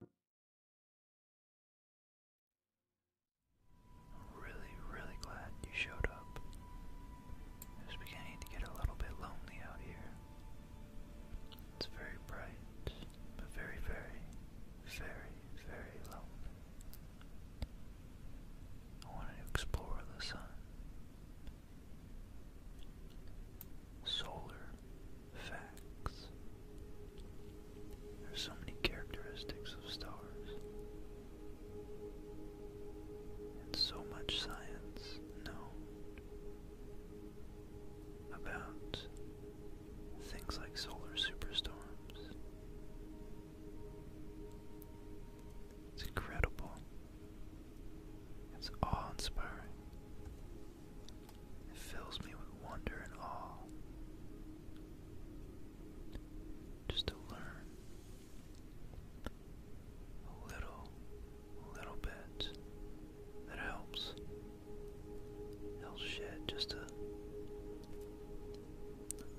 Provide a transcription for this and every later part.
I'm really, really glad you showed up. It's beginning to get a little bit lonely out here. It's very bright, but very, very, very, very lonely. I wanted to explore the sun solar facts. There's so many characteristics of stars. And so much science known about things like solar superstorms. It's incredible. It's awe inspiring. It fills me with wonder and awe. Just to learn a little, little bit that helps. Helps shed just a,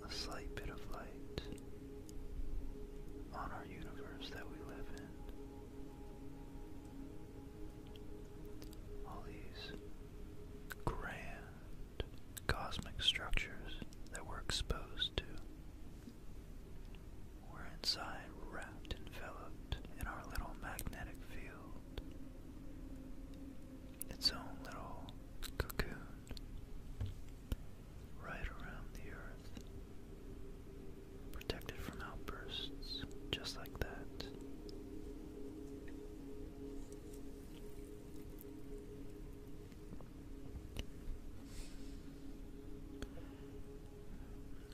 a slight bit of light on our universe that we live in all these grand cosmic structures that we're exposed to. We're inside, wrapped, enveloped in our little magnetic field, its own little cocoon right around the earth, protected from outbursts just like that.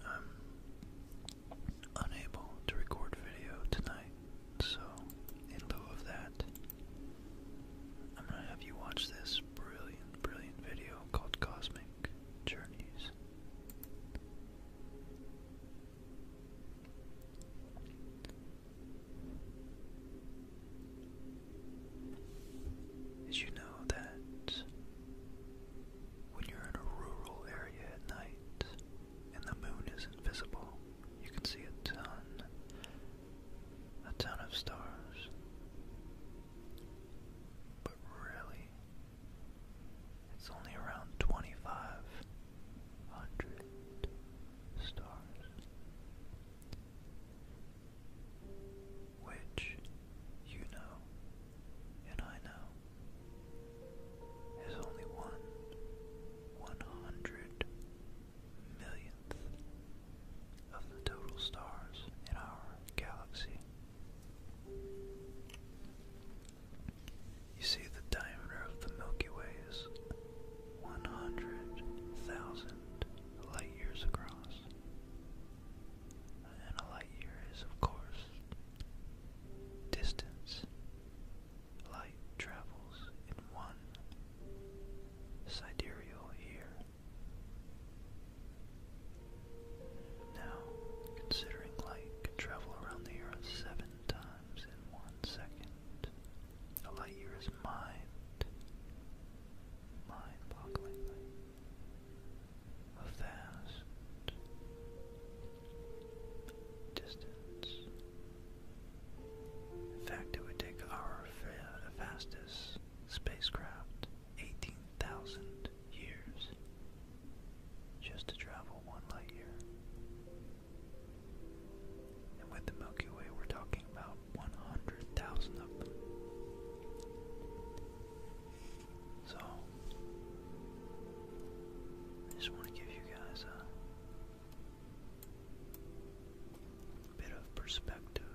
I'm unable to record video tonight, so in lieu of that, I'm gonna have you watch this brilliant, brilliant video called Cosmic Journeys. Did you know that when you're in a rural area at night and the moon isn't visible, you can see a ton, a ton of stars? But really, it's only around 2,500 stars, which you know and I know is only one one hundred millionth of the total stars in our galaxy. You see, the diameter of the Milky Way is 100,000 light years across. And a light year is, of course, distance. Light travels in one sidereal year. Now, considering light travel around the Earth seven times in one second. A light year is mind, mind-bogglingly, a vast distance. In fact, it would take our fastest spacecraft 18,000 years just to travel one light year. And with the Milky Way, we're talking about 100,000 of them. So, I just want to give you guys a bit of perspective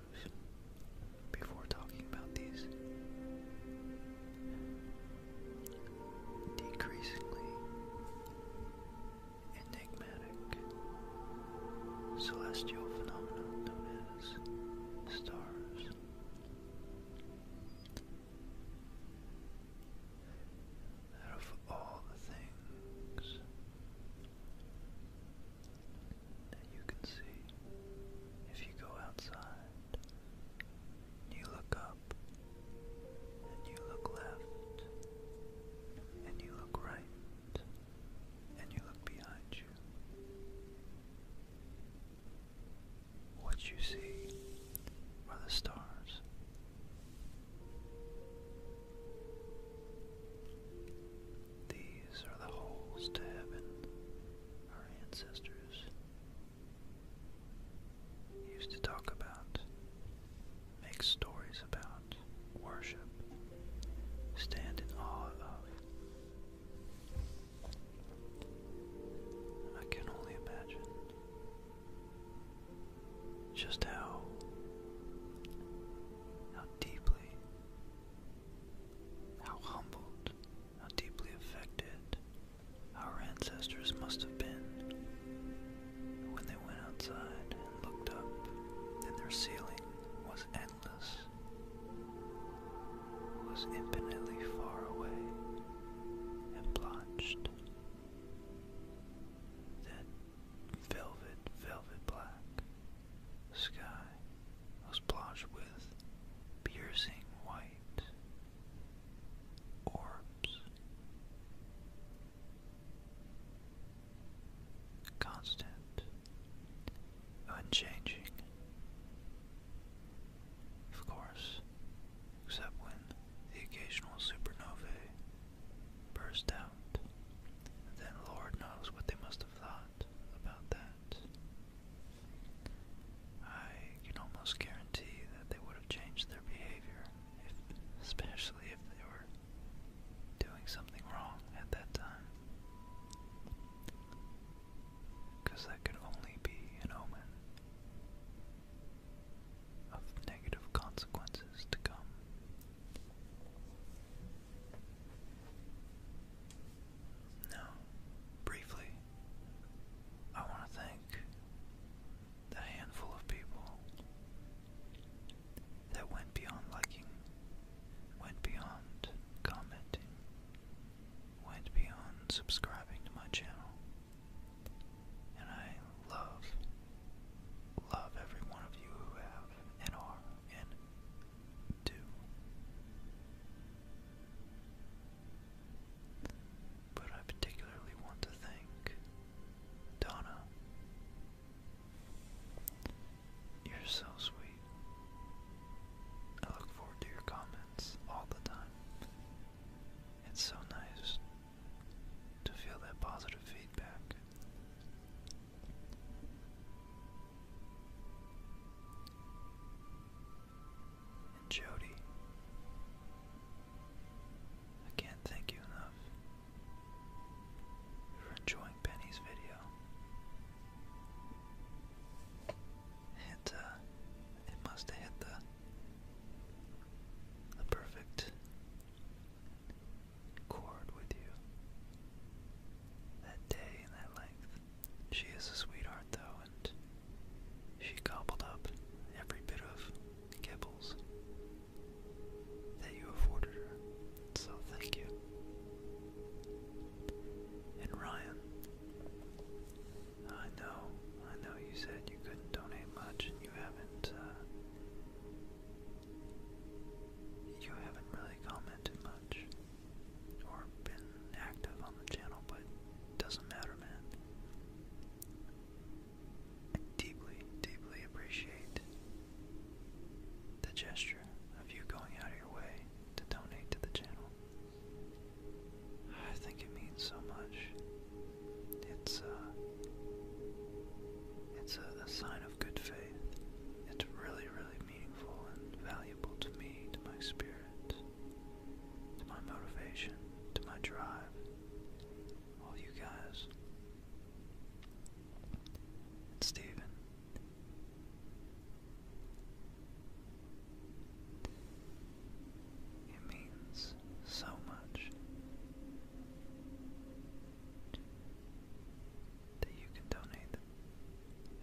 before talking about these decreasingly enigmatic celestial phenomena known as stars. Out of all the things that you can see, if you go outside you look up, and you look left, and you look right, and you look behind you. What you see are the stars. These are the holes to heaven our ancestors used to talk about, make stories about, worship, stand in awe of. I can only imagine just how how deeply how humbled, how deeply affected our ancestors must have been when they went outside and looked up, and their ceiling was endless, was infinitely far away and blanched. That velvet, velvet black sky was blanched with piercing white orbs constant, unchanging, of course, except when the occasional supernovae burst out, then Lord knows what they must have thought about that. I can almost guarantee that they would have changed their behavior especially if they were doing something wrong at that time. Because that could only be an omen of negative consequences to come. Now, briefly, I want to thank the handful of people that went beyond liking, went beyond commenting, went beyond subscribing to my channel. And I love, love every one of you who have and are and do but I particularly want to thank Donna. You're so sweet. I look forward to your comments all the time. It's so nice to feel that positive feedback. And Jody, I can't thank you enough for enjoying Penny's video. It uh, it must have hit the the perfect chord with you. That day and that length. She is a sweetheart though, and she gobbled up every bit of Kibbles that you afforded her, so thank you. And Ryan, I know, I know you said you couldn't donate much and you haven't, uh, you haven't really commented much or been active on the channel, but it doesn't matter, man. I deeply, deeply appreciate the gesture of you going out of your way to donate to the channel. I think it means so much. It's uh it's a, a sign of good faith. It's really, really meaningful and valuable to me, to my spirit, to my motivation, to my drive all you guys. And Steven. It means so much that you can donate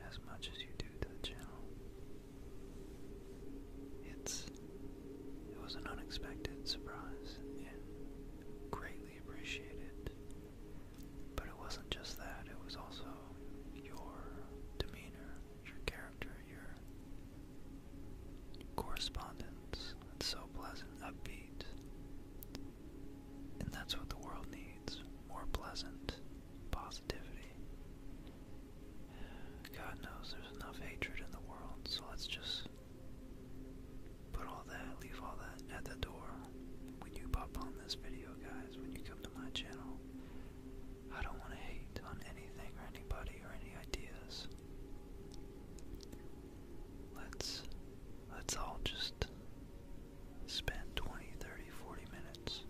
as much as you do to the channel. It's it was an unexpected surprise and greatly appreciated. But it wasn't just that, it was also your demeanor, your character, your correspondence. It's so pleasant, upbeat. And that's what the world needs more pleasant positivity. God knows there's enough hatred in the world, so let's just Put all that, leave all that at the door. When you pop on this video, guys, when you come to my channel, I don't want to hate on anything or anybody or any ideas. Let's let's all just spend 20, 30, 40 minutes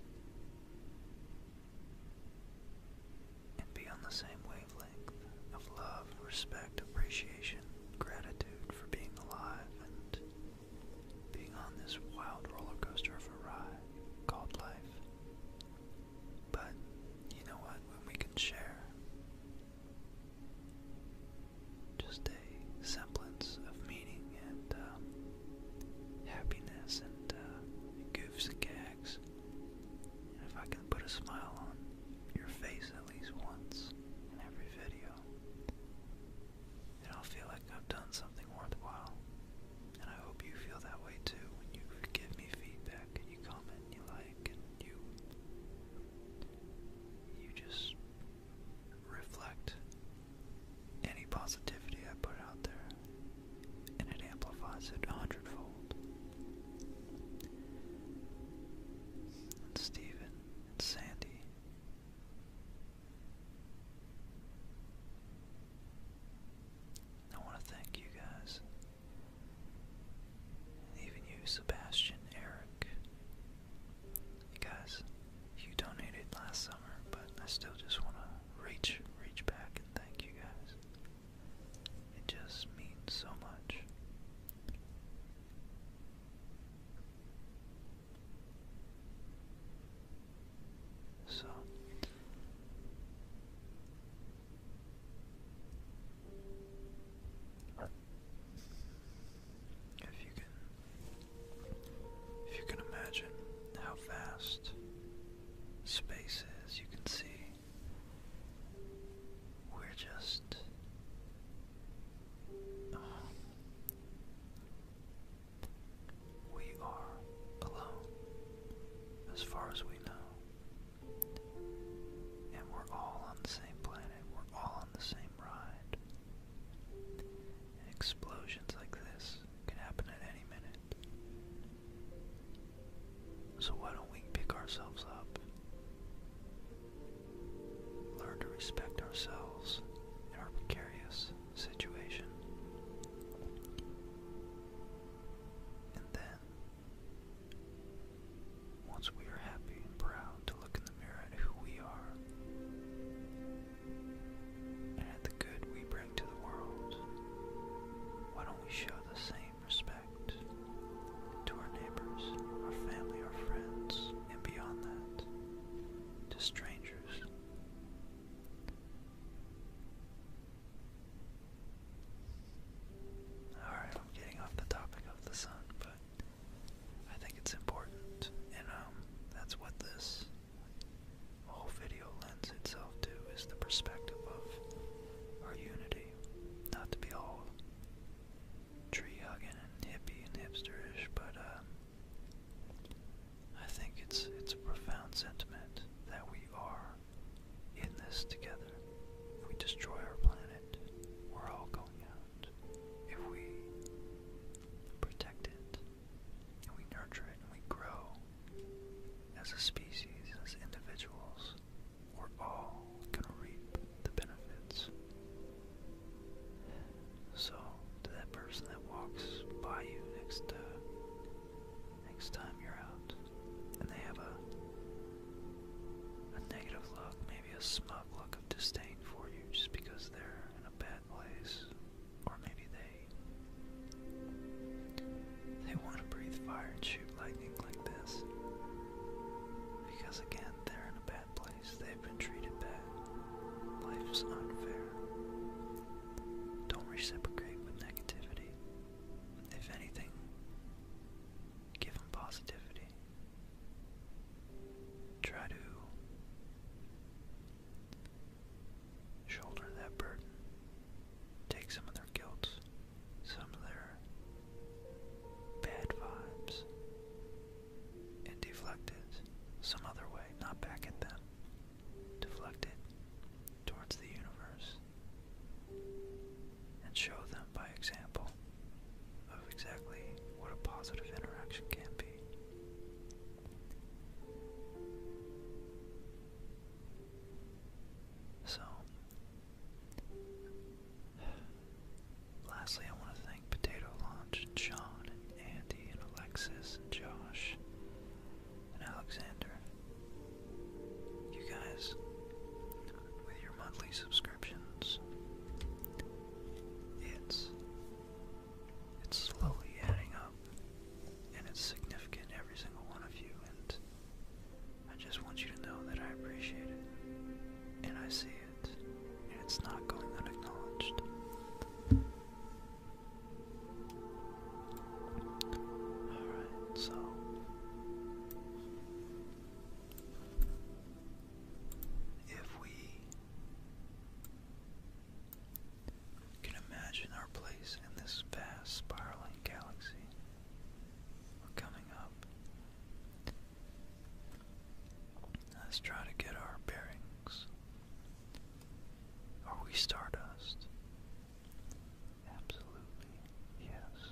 and be on the same wavelength of love, respect, appreciation, gratitude for being alive and being on this wild roller coaster of a ride called life. But you know what? When we can share just a semblance of meaning and um, happiness and uh, goofs and if I can put a smile on your face at least once in every video, then I'll feel like I've done something worthwhile. And I hope you feel that way too when you give me feedback and you comment and you like and you you just reflect any positivity I put out there and it amplifies it a hundredfold and and Sandy. I want to thank you guys, even you, Sebastian, Eric. You guys, you donated last summer, but I still just want to reach, reach back and thank you guys. It just means so much. So if you can if you can imagine how vast space is, you can see we're just um, we are alone as far as we know and we're all on the same planet we're all on the same ride explosions like this can happen at any minute so why don't we pick ourselves up? Learn to respect ourselves in our precarious situation. And then, once we are happy and proud to look in the mirror at who we are and at the good we bring to the world, why don't we show the same respect to our neighbors, our family, our friends, and beyond that, to strangers. Alright, I'm getting off the topic of the sun, but I think it's important, and um, that's what this whole video lends itself to, is the perspective of our unity not to be all tree hugging and hippie and hipsterish, but uh, I think it's it's a profound sentiment that we are in this together. If we destroy our planet, we're all going out. If we protect it, and we nurture it, and we grow as a species, as individuals, we're all gonna reap the benefits. So, to that person that walks by you next uh, next time you're out, and they have a a negative look, maybe a smug look of disdain for you, just because they're in a bad place, or maybe they they want to breathe fire at you, lightning like this. Because again, they're in a bad place. They've been treated bad. Life's unfair. Don't reciprocate with negativity. If anything, give them positivity. Try to shoulder that burden. Take some of their guilt, some of their bad vibes and deflect it some other way, not back at them. Deflect it towards the universe and show them by example of exactly what a positive interaction can be. So, Lastly, I want to thank Potato Launch and Andy and Alexis and Josh and Alexander. You guys, with your monthly subscriptions, it's it's slowly adding up, and it's significant every single one of you. I just want you to know that I appreciate it, and I see it, and it's not going unacknowledged. Alright, so. If we can imagine our place in this vast spiraling galaxy, we're coming Let's try to get our bearings. Are we stardust? Absolutely, yes,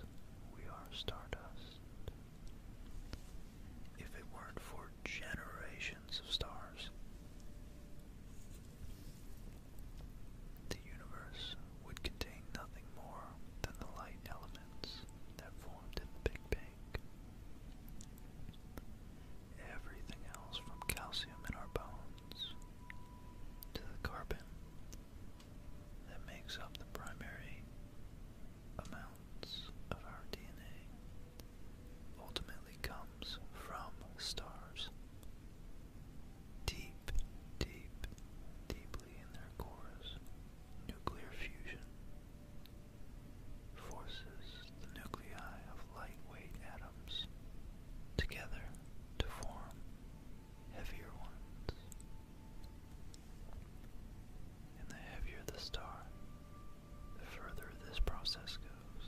we are stardust. If it weren't for generations of stars, the universe would contain nothing more than the light element that formed in the Big Bang. Everything else from calcium in our bones to the carbon that makes up the primary amounts of our DNA ultimately comes from stars. Deep, deep, deep in their cores nuclear fusion forces the nuclei of lightweight atoms together to form heavier ones. And the heavier the star, the further this process goes.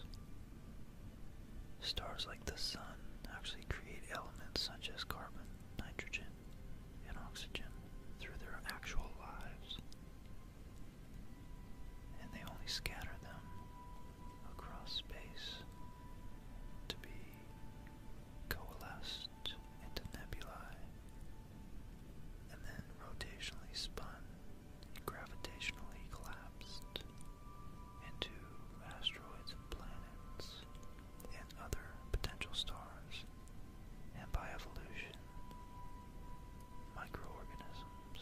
Stars like the Sun actually create elements such as carbon, nitrogen, and oxygen through their actual lives, and they only scatter them across space to be coalesced into nebulae and then rotationally spun and gravitationally collapsed into asteroids and planets and other potential stars, and by evolution, microorganisms.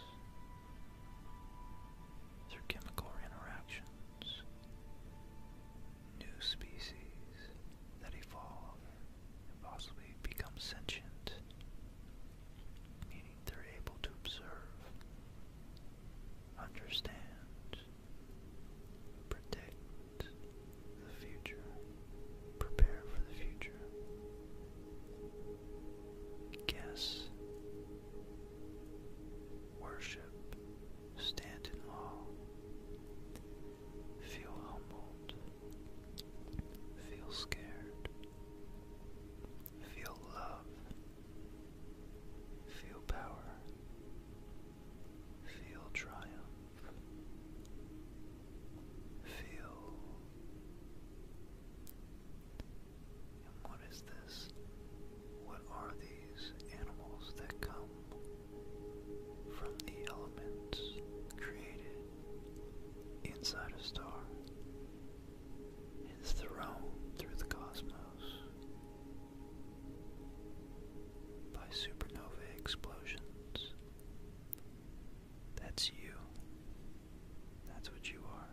Through chemical interactions, new species that evolve and possibly become sentient, meaning they're able to observe, understand, Protect the future. Prepare for the future. Guess. Worship. Stand in awe. Feel humbled. Feel scared. Feel love. Feel power. Feel triumph. Feel. And what is this? What are these animals that come from the elements created inside a star? It's thrown through the cosmos by supernova explosions. That's you. That's what you are.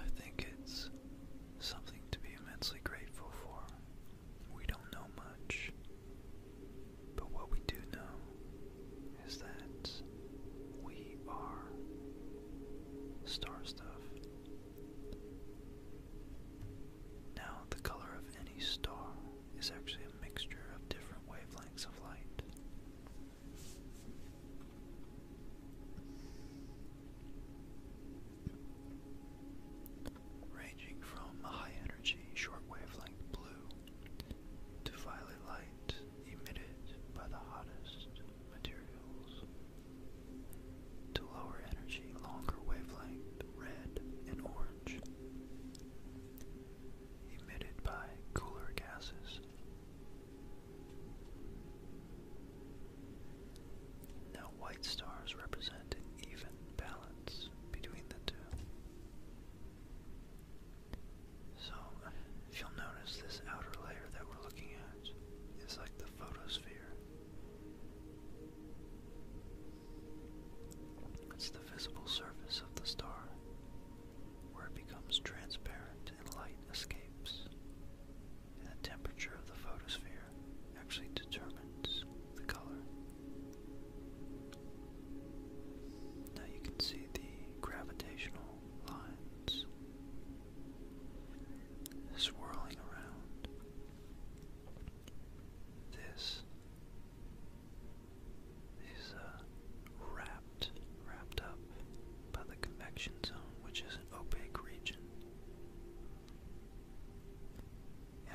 I think it's something to be immensely grateful for. We don't know much, but what we do know is that we are star stuff. Now, the color of any star is actually a mixture of different wavelengths of light. Ranging from high energy short wavelength blue to violet light emitted by the hottest materials. To lower energy, longer wavelength, red and orange. Emitted by cooler gases. Now, white stars represent an even balance between the two. So, if you'll notice, this outer layer that we're looking at is like the photosphere. It's the visible surface of the star, where it becomes transparent and light escapes. And the temperature of the photosphere actually determines the color. Now you can see the gravitational lines swirling around. This is uh, wrapped, wrapped up by the convection zone, which is an opaque region.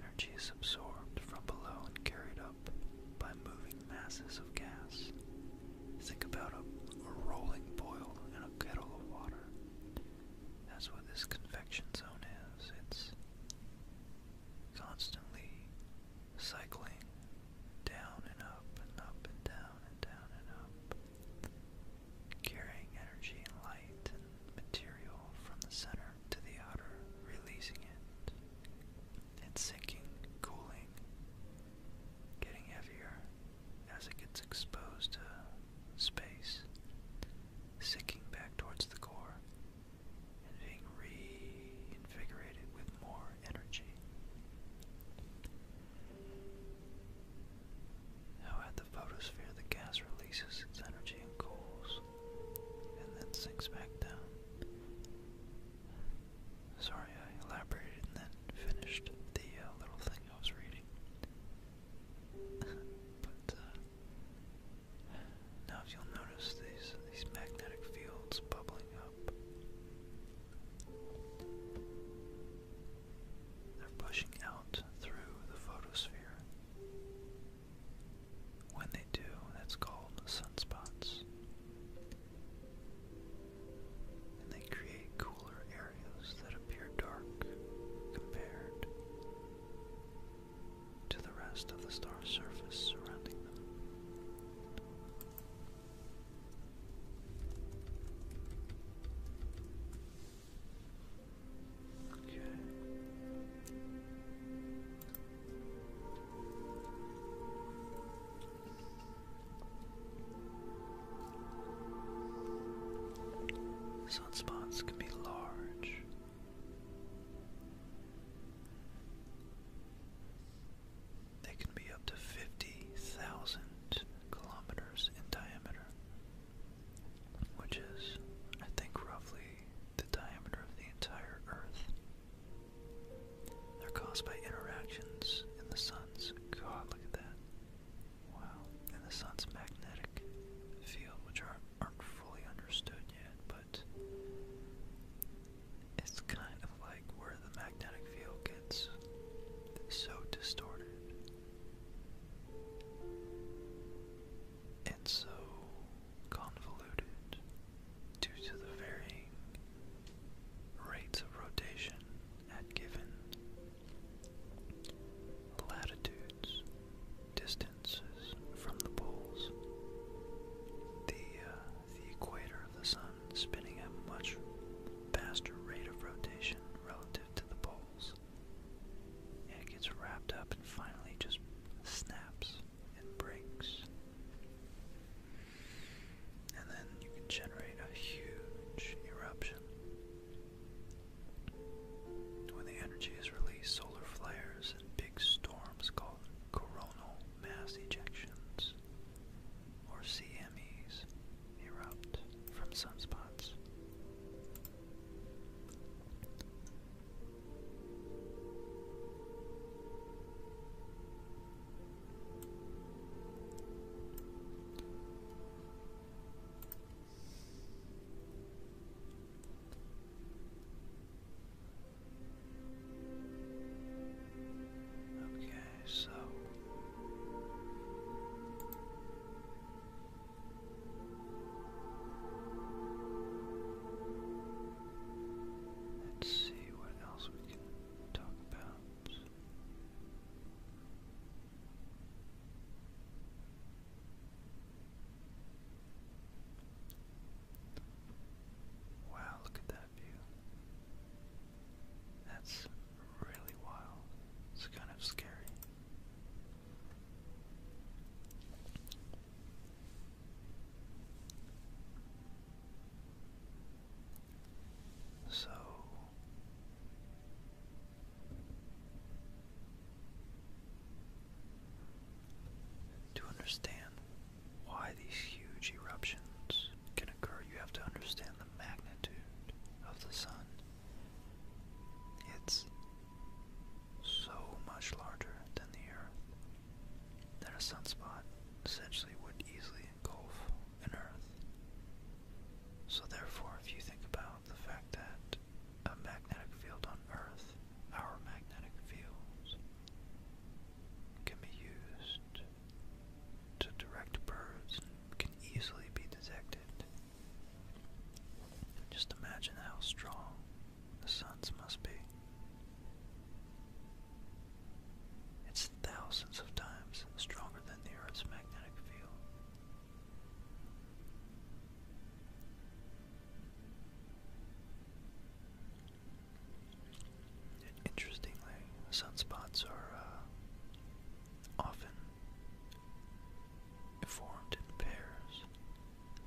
Energy is absorbed from below and carried up by moving masses of gas. Think about a, rolling boil in a kettle of water. That's what this convection zone is. It's constantly cycling down and up and up and down and down and up, carrying energy and light and material from the center to the outer, releasing it and sinking, cooling, getting heavier as it gets exposed to space, sinking back towards the core, and being reinvigorated with more energy. Now, at the photosphere, the gas releases its energy and cools, and then sinks back down. Sorry, I elaborated and then finished the uh, little thing I was reading. but uh, now, if you'll notice these these magnetic fields bubbling up, they're pushing out through the photosphere. When they do, that's called sunspots and they create cooler areas that appear dark compared to the rest of the star's surface surrounding them. Okay. Sunspots can be large. They can be up to 50,000 kilometers in diameter, which is, I think, roughly the diameter of the entire Earth. They're caused by interactions in the sun's. God, look at that. Wow. And the sun's magnetic field, which aren't, aren't fully understood yet, but it's kind of like where the magnetic field gets so distorted. And so convoluted due to the varying rates of rotation at given latitudes, distances from the poles, the, uh, the equator of the sun spinning at a much faster rate of rotation relative to the poles, it gets wrapped up and finally just snaps and breaks and then you can generate a huge eruption. When the energy is released, solar flares and big storms called coronal mass ejections or CMEs erupt from sunspots. Okay, so let's see what else we can talk about. Wow, look at that view. That's really wild. It's kind of scary. So to understand why these huge eruptions can occur, you have to understand the magnitude of the sun. It's so much larger than the Earth that a sunspot essentially would easily gulf in Earth. So, therefore, if you think about the fact that a magnetic field on Earth, our magnetic fields, can be used to direct birds can easily be detected. Just imagine how strong the suns must be thousands of times stronger than the Earth's magnetic field. interestingly, sunspots are uh, often formed in pairs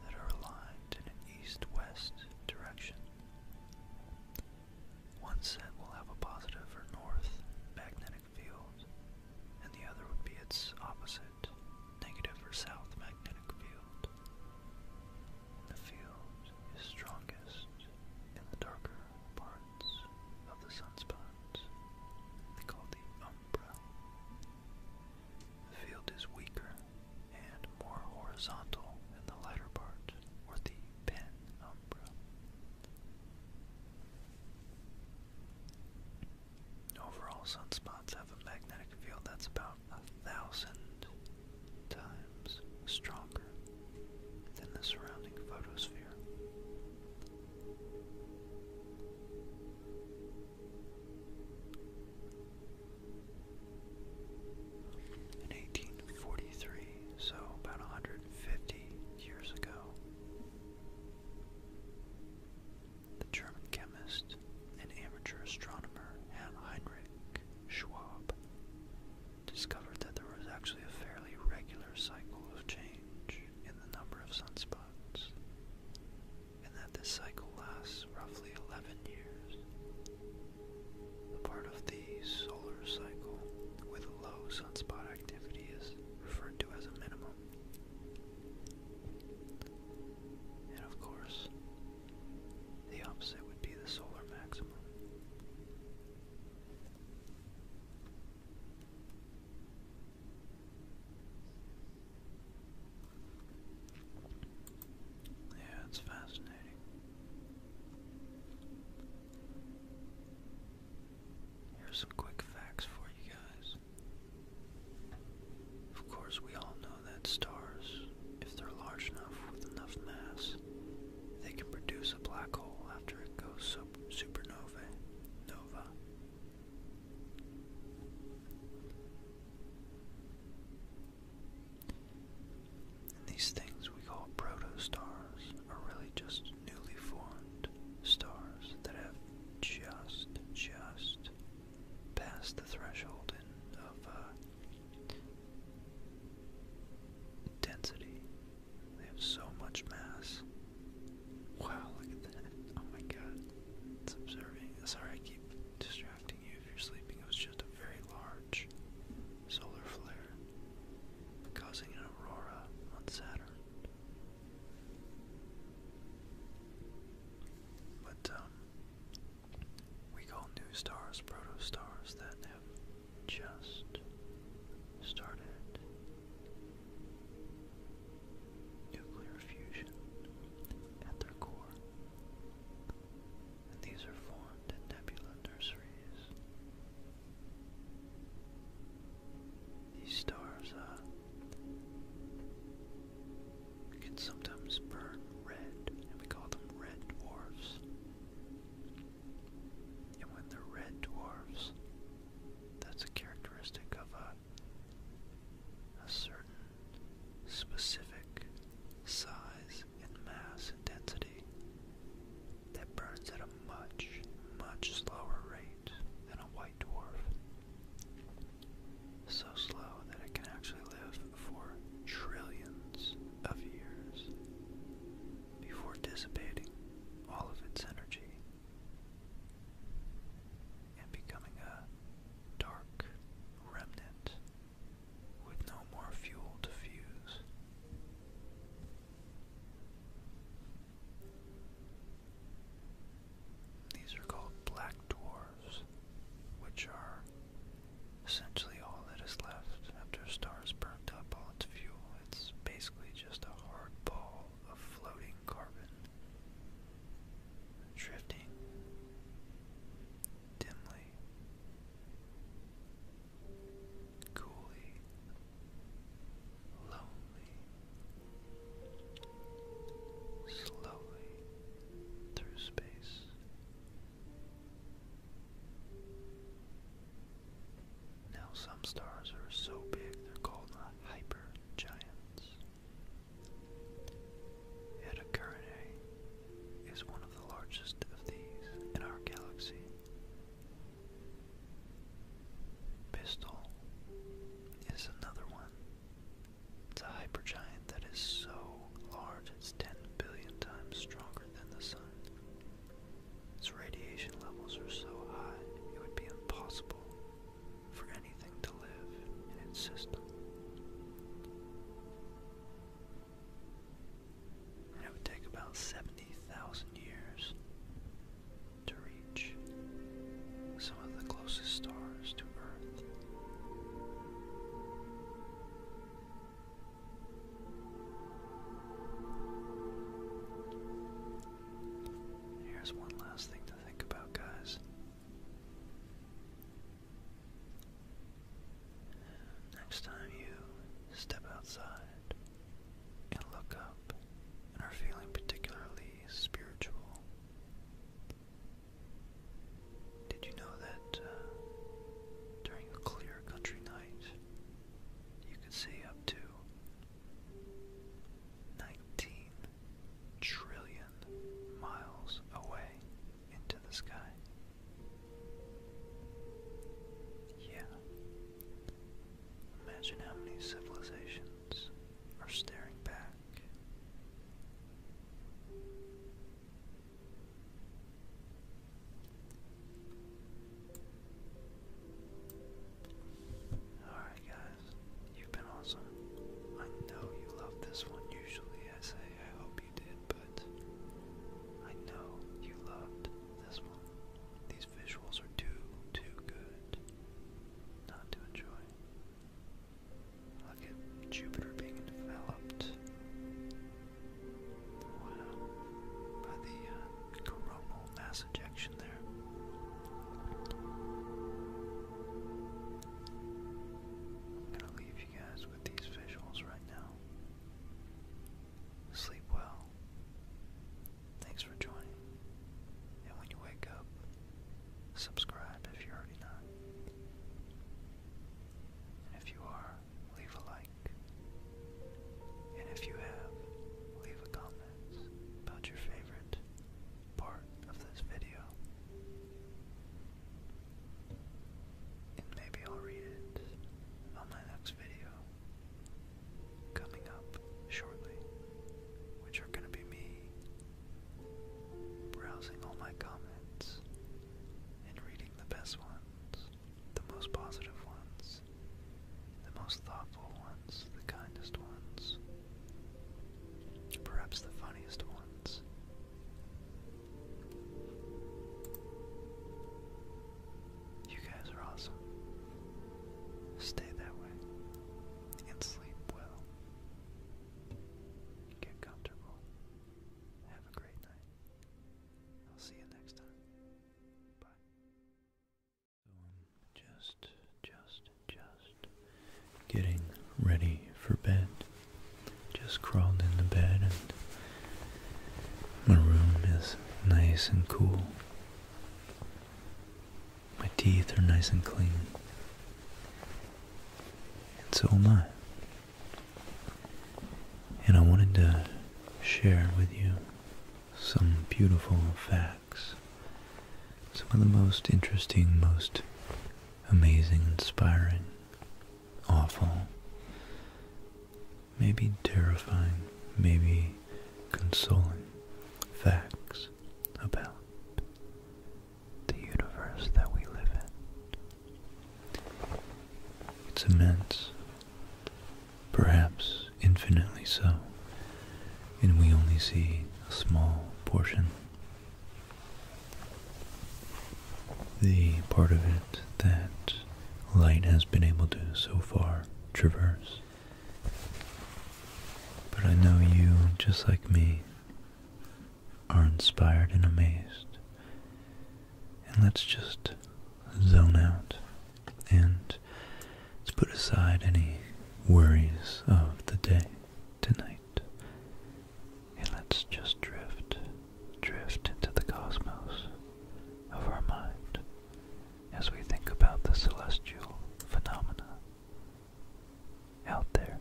that are aligned in an east-west direction. One set will have a positive or north magnetic field, and the other would be its opposite, negative or south magnetic field. The field is strongest in the darker parts of the sunspots. They call the umbra. The field is weaker and more horizontal in the lighter part, or the penumbra. Overall, sunspots have a magnetic field that's about a thousand times stronger than the surrounding photosphere. In 1843, so about 100 Fifty years ago. The German chemist and amateur astronomer Heinrich Schwab discovered that there was actually a fairly regular cycle of change in the number of sunspots, and that this cycle lasts roughly 11 years. A part of the a solar cycle with low sunspot activity is referred to as a minimum. And of course, the opposite would be the solar maximum. Yeah, it's fascinating. Here's some quick facts for you guys. Of course, we all know that stars, if they're large enough with enough mass, they can produce a black hole after it goes supernova. Nova. these things we call protostars are really just newly formed stars that have just, just passed the threshold in, of uh, density. They have so much mass. Wow, look at that. Oh my god. It's observing. Sorry, I keep distracting you if you're sleeping. It was just a very large solar flare, causing an aurora on Saturn. But um, we call new stars protostars that have just started nuclear fusion at their core. And these are formed in nebula nurseries these stars uh, can sometimes burn red, and we call them red dwarfs. And when they're red dwarfs, that's a characteristic of a certain specific size and mass and density that burns at a much, much slower rate than a white dwarf. So slow that it can actually live for trillions of years before dissipating all of its energy and becoming a dark remnant with no more fuel to fuse. These are called black dwarfs, which are essentially all that is left after a star has burnt up all its fuel. It's basically just a hard ball of floating carbon drifting dimly coolly, lonely, slowly through space. Now, some stars are so big they're called hypergiants. Eta Carinae is one of the largest of these in our galaxy Pistol is another one. It's a hypergiant that is so large it's 10 billion times stronger than the sun. Its radiation levels are so high it would be impossible for anything to live in its system it would take about 70,000 years to reach some of the closest stars to Earth. Here's one last thing to think about, guys. Next time you step outside and look up and are feeling particularly spiritual. Did you know that uh, during a clear country night, you could see up to 19 trillion miles away into the sky? Yeah, Imagine how many civilizations are staring back. Alright, guys, you've been awesome. I know you love this one. Usually I say I hope you did, but I know you loved this one. These visuals are too, too good not to enjoy. Look at Jupiter being developed. By the uh, coronal mass ejection there. I'm going to leave you guys with these visuals right now. Sleep well. Thanks for joining. And when you wake up, subscribe if you're already not. And if you are, leave a like. And if you have, leave a comment about your favorite part of this video. And maybe I'll read it on my next video coming up shortly, which are going to be me browsing all my comments and reading the best ones, the most positive ones, the most thoughtful ones, the kindest ones, perhaps the funniest ones. You guys are awesome. Stay that way and sleep well. Get comfortable. Have a great night. I'll see you next time. Bye. Um, just, just, just getting ready for bed. Just crawled in the bed and my room is nice and cool. My teeth are nice and clean. And so am I. And I wanted to share with you some beautiful facts. Some of the most interesting, most amazing, inspiring, awful, maybe terrifying, maybe consoling facts about the universe that we live in. It's immense, perhaps infinitely so, and we only see a small portion. The part of it that light has been able to so far traverse. But I know you, just like me, are inspired and amazed. And let's just zone out and let's put aside any worries of the day tonight. And let's just drift, drift into the cosmos of our mind as we think about the celestial phenomena out there.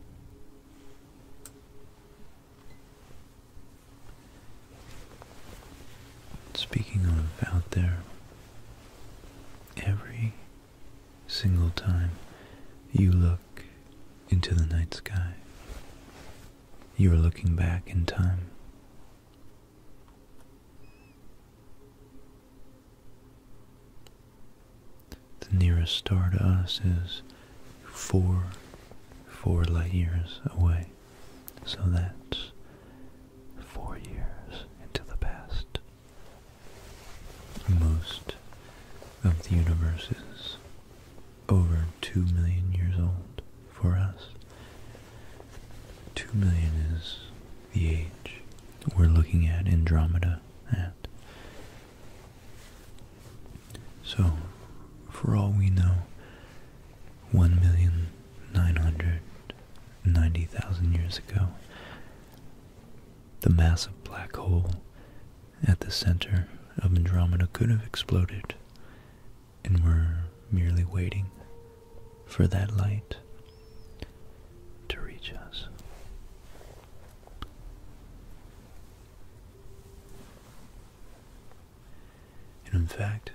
Speaking of out there, every single time you look into the night sky, you are looking back in time the nearest star to us is four, four light years away. So that's four years into the past. Most of the universe is over two million years old for us. Two million is the age we're looking at Andromeda at. So, for all we know, 1,990,000 years ago, the massive black hole at the center of Andromeda could have exploded, and we're merely waiting for that light to reach us. And in fact,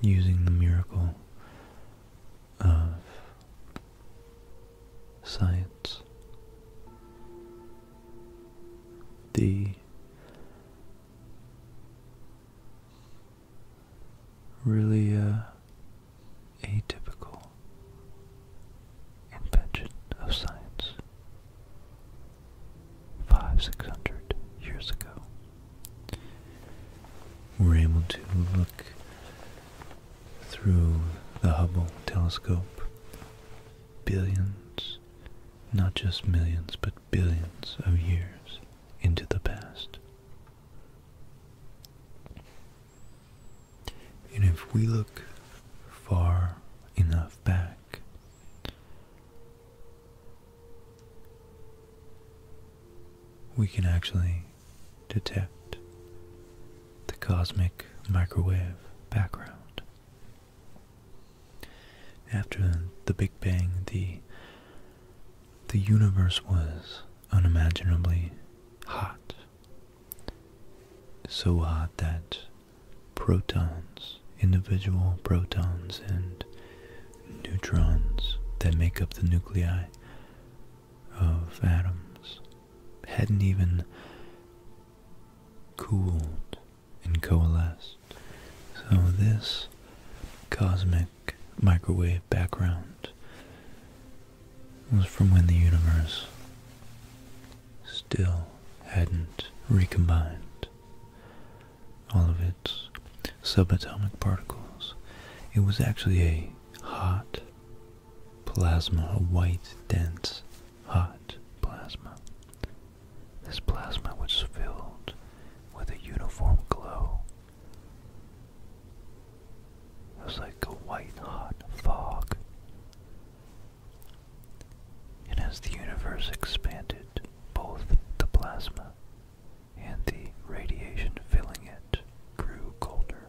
using the miracle of science, the really uh, atypical invention of science. Five, six hundred years ago, we're able to look through the Hubble telescope billions, not just millions, but billions of years into the past. And if we look far enough back, we can actually detect the cosmic microwave background. After the Big Bang, the the universe was unimaginably hot, so hot that protons, individual protons and neutrons that make up the nuclei of atoms hadn't even cooled and coalesced. So this cosmic microwave background was from when the universe still hadn't recombined all of its subatomic particles. It was actually a hot plasma, a white, dense, hot plasma. This plasma was filled with a uniform glow it was like a white hot fog. And as the universe expanded, both the plasma and the radiation filling it grew colder.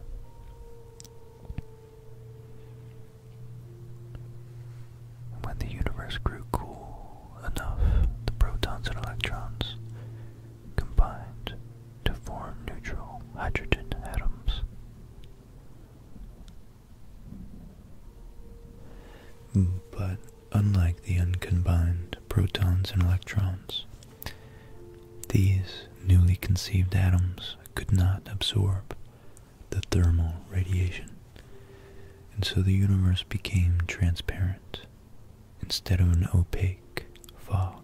when the universe grew cool enough, the protons and electrons combined to form neutral hydrogen atoms. Mm, but unlike the uncombined protons and electrons, these newly conceived atoms could not absorb the thermal radiation, and so the universe became transparent instead of an opaque fog.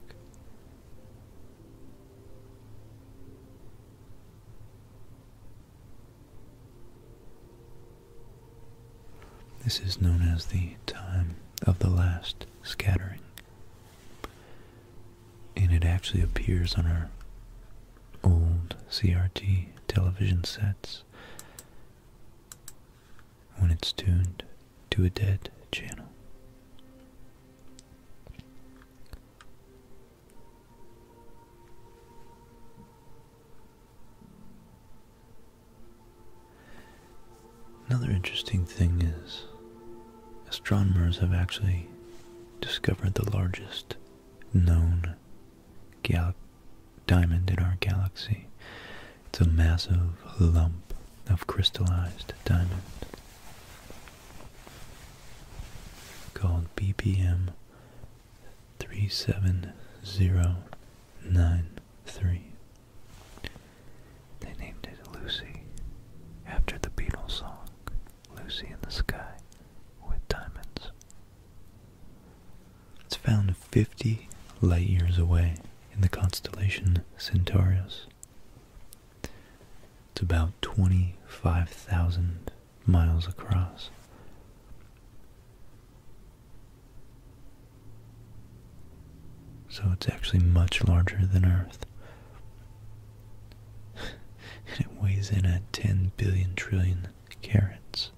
This is known as the time of the last scattering. And it actually appears on our old CRT television sets when it's tuned to a dead channel. Another interesting thing is astronomers have actually discovered the largest known gal diamond in our galaxy. It's a massive lump of crystallized diamond called BPM 37093. They named it Lucy after the Beatles song, Lucy in the Sky with Diamonds. It's found 50 light years away in the constellation Centaurus. It's about 25,000 miles across. So it's actually much larger than Earth. and it weighs in at 10 billion trillion carats.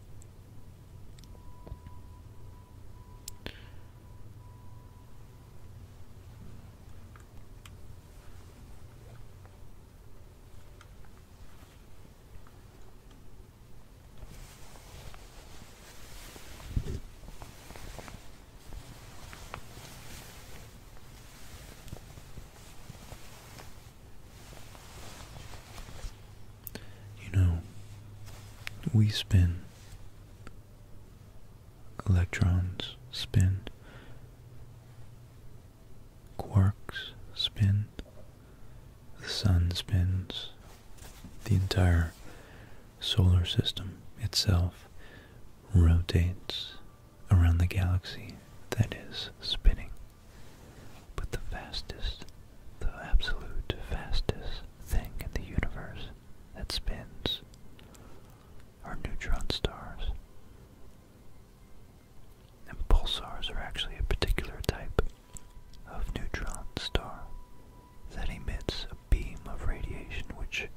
You know, we spend Electrons spin. Quarks spin. The sun spins. The entire solar system itself rotates around the galaxy that is spinning. But the fastest, the absolute fastest thing in the universe that spins are neutron stars. And pulsars are actually a particular type of neutron star that emits a beam of radiation which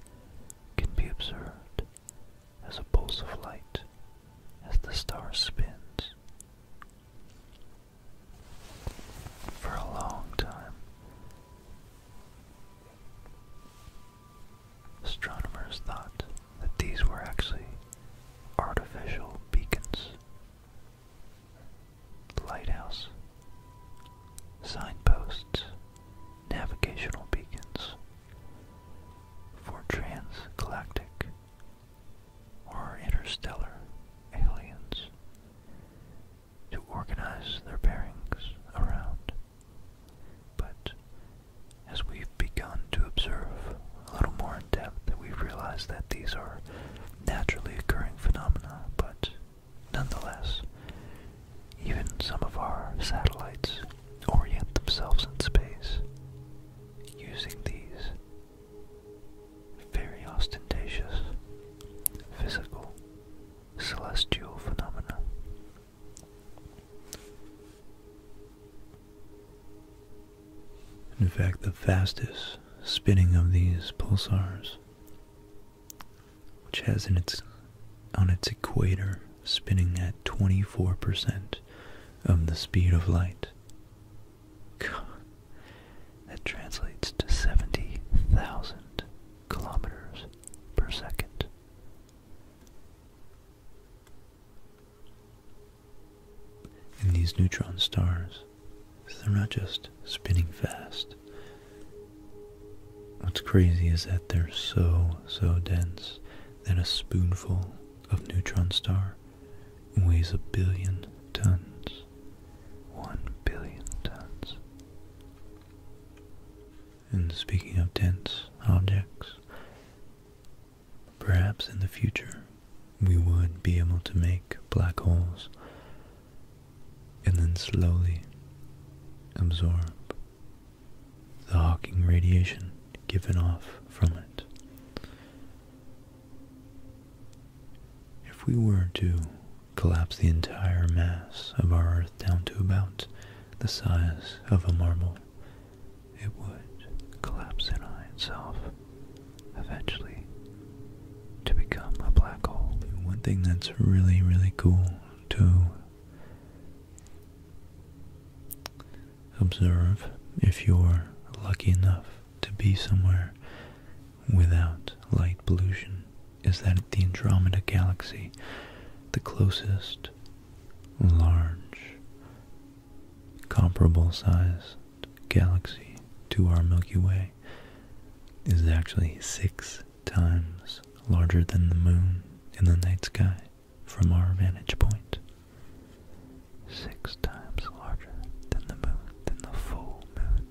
can be observed as a pulse of light as the star spins for a long time. Astronomers thought that these were actually artificial beacons, lighthouse, signposts, navigational beacons for transgalactic or interstellar aliens to organize their bearings around. But as we've begun to observe a little more in depth, we've realized that these are naturally occurring phenomena, but nonetheless, even some of our satellites orient themselves in space using these very ostentatious, physical, celestial phenomena. In fact, the fastest spinning of these pulsars, which has in its on its equator spinning at 24% of the speed of light. God, that translates to 70,000 kilometers per second. In these neutron stars, they're not just spinning fast. What's crazy is that they're so, so dense that a spoonful of neutron star weighs a billion tons. 1 billion tons. And speaking of dense objects, perhaps in the future we would be able to make black holes and then slowly absorb the Hawking radiation given off from it. If we were to collapse the entire mass of our Earth down to about the size of a marble, it would collapse in on itself, eventually, to become a black hole. One thing that's really, really cool to observe if you're lucky enough to be somewhere without light pollution is that the Andromeda Galaxy, the closest large comparable sized galaxy to our Milky Way, is actually six times larger than the moon in the night sky from our vantage point. Six times larger than the moon, than the full moon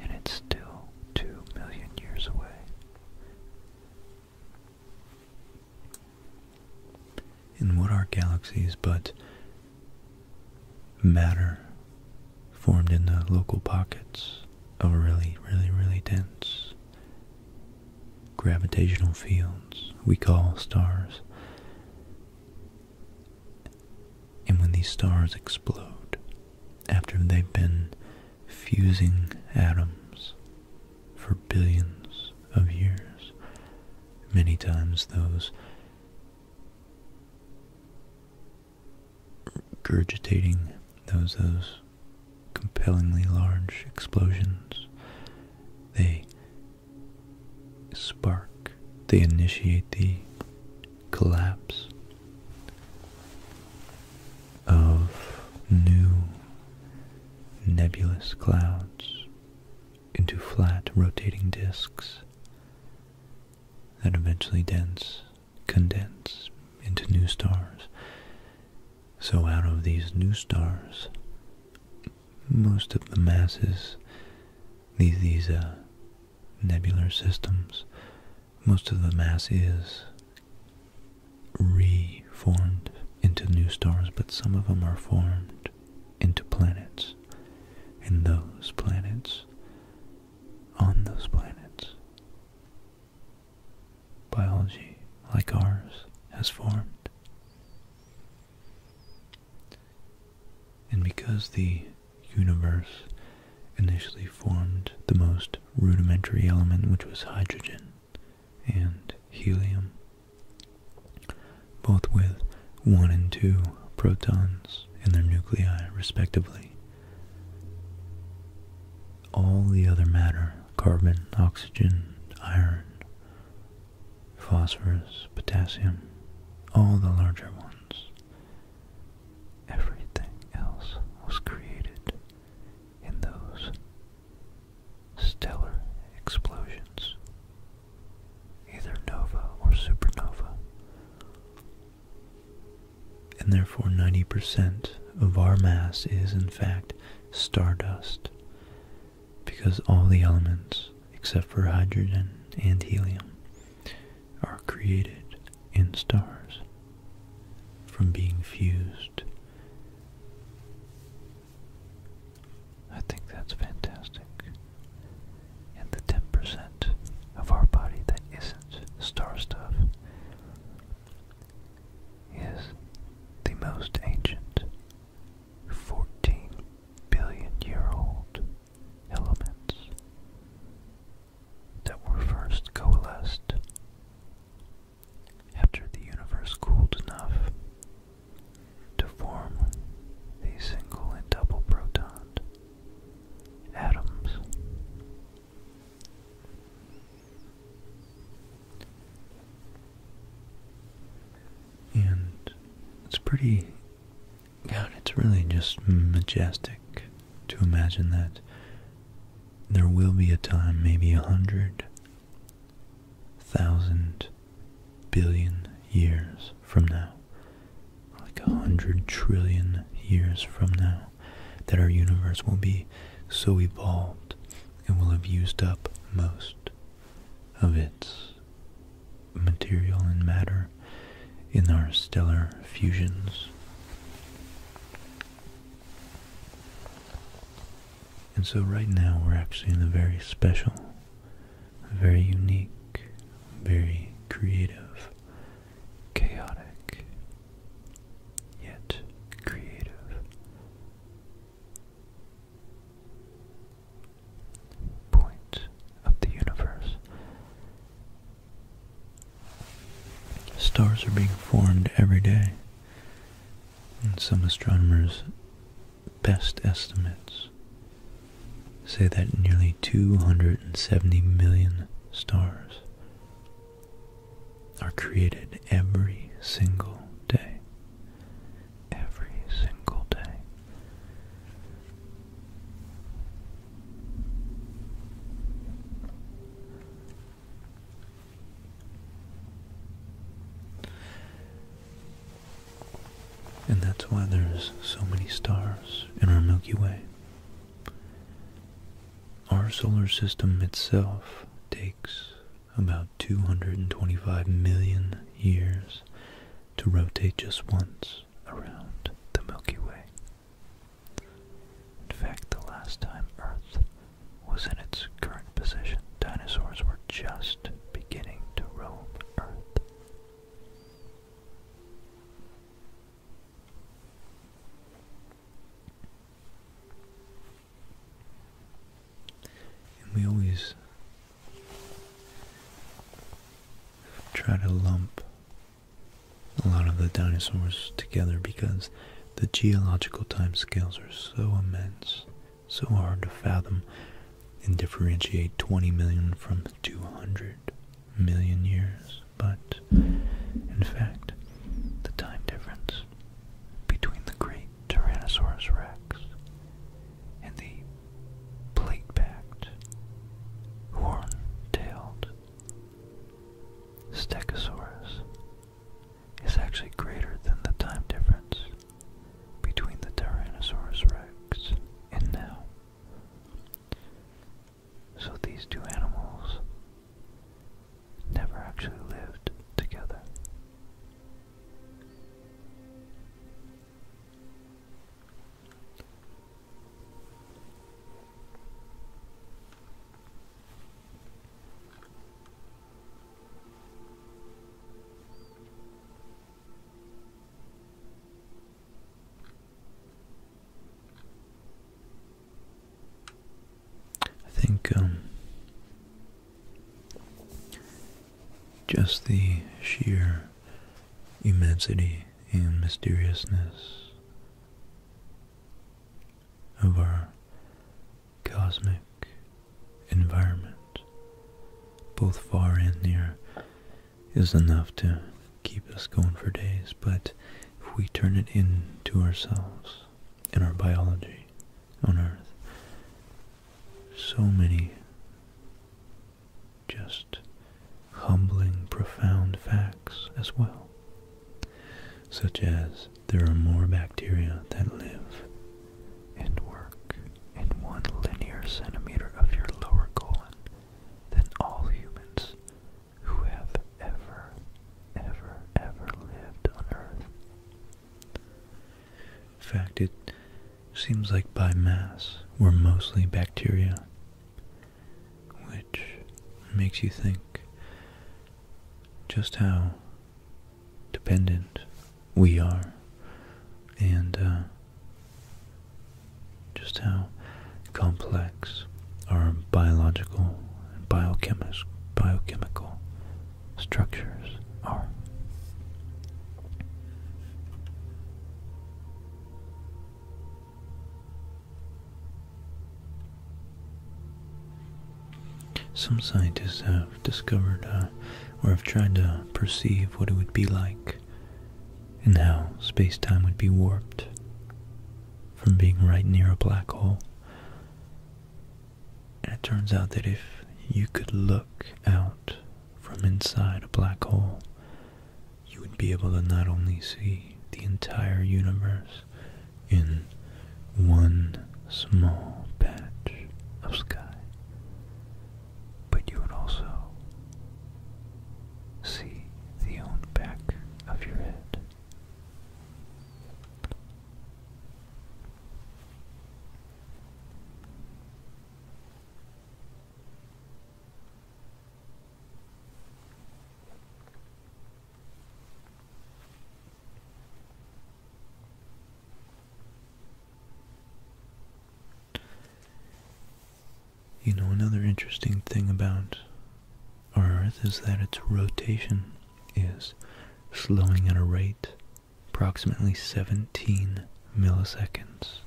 and it's still 2 million years away. And what are galaxies but matter formed in the local pockets of really, really, really dense gravitational fields we call stars? And when these stars explode, after they've been fusing atoms for billions of years, many times those regurgitating those those compellingly large explosions they spark they initiate the collapse of new nebulous clouds into flat rotating disks that eventually dense condense into new stars. So out of these new stars, most of the masses, these these uh, nebular systems, most of the mass is reformed into new stars, but some of them are formed into planets. And those planets, on those planets, biology like ours has formed. And because the universe initially formed the most rudimentary element, which was hydrogen and helium, both with one and two protons in their nuclei, respectively. All the other matter, carbon, oxygen, iron, phosphorus, potassium, all the larger ones, Everything else was created in those stellar explosions, either nova or supernova. And therefore, 90% of our mass is, in fact, stardust, because all the elements, except for hydrogen and helium, are created in stars from being fused. I think that's fantastic. And the 10% of our body that isn't star stuff is the most ancient 14 billion year old elements that were first coalesced after the universe cooled enough to form the single and double proton atoms. And it's pretty God, it's really just majestic to imagine that there will be a time, maybe a hundred thousand billion years from now, like a hundred trillion years from now, that our universe will be so evolved and will have used up most of its material and matter in our stellar fusions. And so right now we're actually in a very special, very unique, very creative, chaotic, yet creative point of the universe. Stars are being formed every day, and some astronomers' best estimates say that nearly 270 million stars are created every single day. Every single day. And that's why there's so many stars in our Milky Way. Our solar system itself takes about 225 million years to rotate just once around the Milky Way. In fact, the last time Earth was in its current position, dinosaurs were just beginning to roam Earth. we always try to lump a lot of the dinosaurs together because the geological time scales are so immense, so hard to fathom and differentiate 20 million from 200 million years. But in fact, the time difference between the great Tyrannosaurus rex and the plate-backed, horn-tailed Stegosaurus is actually greater than the time difference between the Tyrannosaurus rex and now. So these two animals never actually lived together. I think um, just the sheer immensity and mysteriousness of our cosmic environment, both far and near, is enough to keep us going for days. But if we turn it into ourselves and our biology on Earth, so many just humbling, profound facts as well, such as there are more bacteria that live and work in one linear centimeter of your lower colon than all humans who have ever, ever, ever lived on Earth. In fact, it seems like by mass, we're mostly bacteria which makes you think just how dependent we are and uh, just how complex our biological biochemical structures are. Some scientists have discovered uh, or have tried to perceive what it would be like and how space-time would be warped from being right near a black hole. And it turns out that if you could look out from inside a black hole, you would be able to not only see the entire universe in one small patch of sky, but you would also see the own back of your head. You know, another interesting thing about our Earth is that its rotation is slowing at a rate approximately 17 milliseconds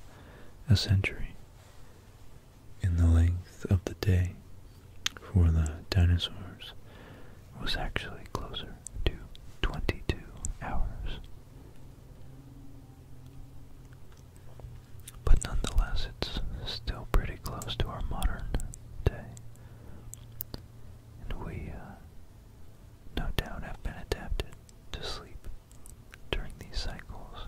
a century in the length of the day for the dinosaurs was actually closer to 22 hours. But nonetheless, it's still pretty close to our modern day. And we, uh, no doubt, have been adapted to sleep during these cycles.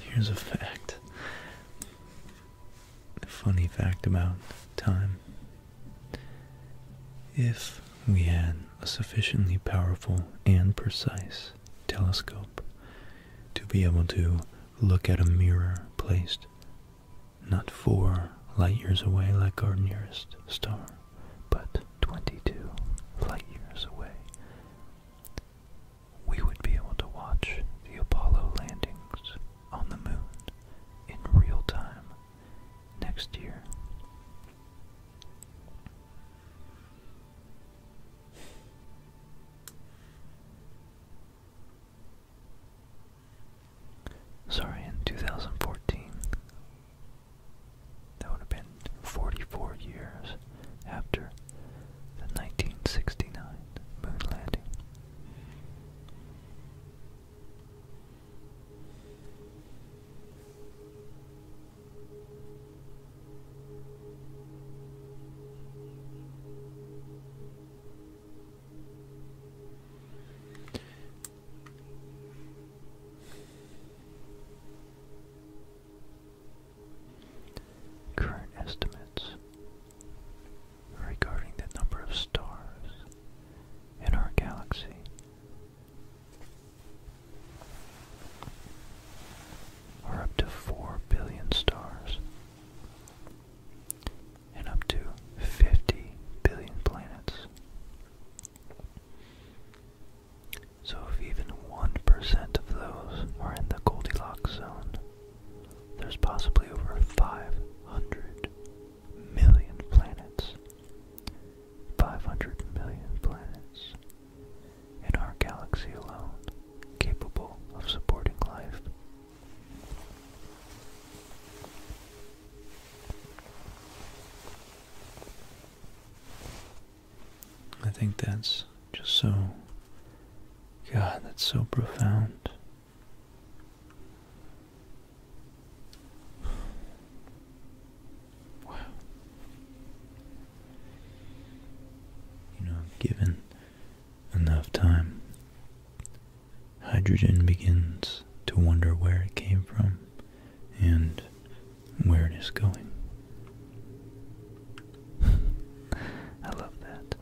Here's a fact. A funny fact about time. If we had a sufficiently powerful and precise telescope to be able to look at a mirror placed not four light years away like our nearest star, but 22 light years away we would be able to watch the Apollo landings on the moon in real time next year. Sorry, in 2014, that would have been 44 years after the 1969 moon landing. Current estimates regarding the number of stars in our galaxy. Are up to 4 billion stars and up to 50 billion planets. So if even 1% of those are in the Goldilocks zone, there's possibly over 500 million planets. 500 million planets in our galaxy alone capable of supporting life. I think that's just so, God, that's so profound. Wow. You know, given enough time, hydrogen begins to wonder where it came from and where it is going. I love that.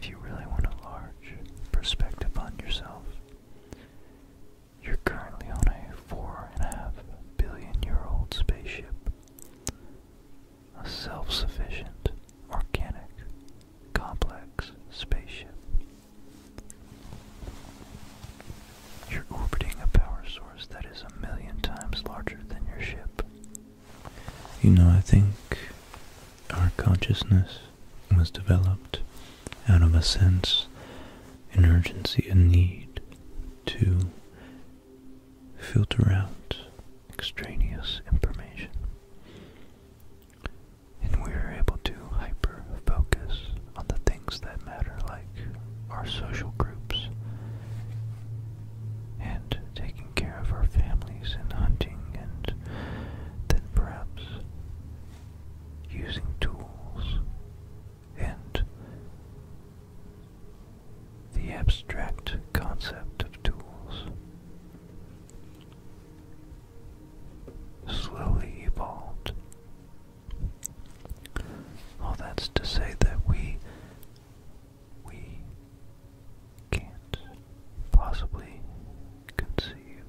If you really want a large perspective on yourself, you're currently on a four and a half billion year old spaceship. A self sufficient, organic, complex spaceship you're orbiting a power source that is a million times larger than your ship. You know, I think our consciousness was developed out of a sense, an urgency, a need to filter out extraneous information and we are able to hyper focus on the things that matter, like our social groups and taking care of our families and hunting, and then perhaps using tools and the abstract concept of tools slowly evolved. All that's to say that we we can't possibly conceive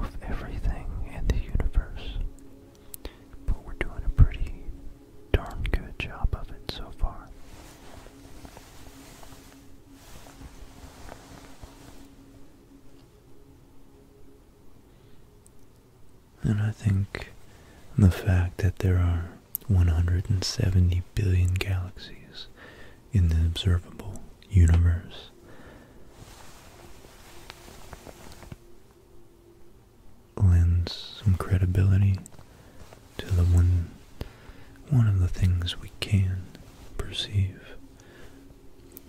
of everything in the universe. But we're doing a pretty darn good job of it so far. And I think the fact that there are 170 billion galaxies in the observable universe lends some credibility to the one one of the things we can perceive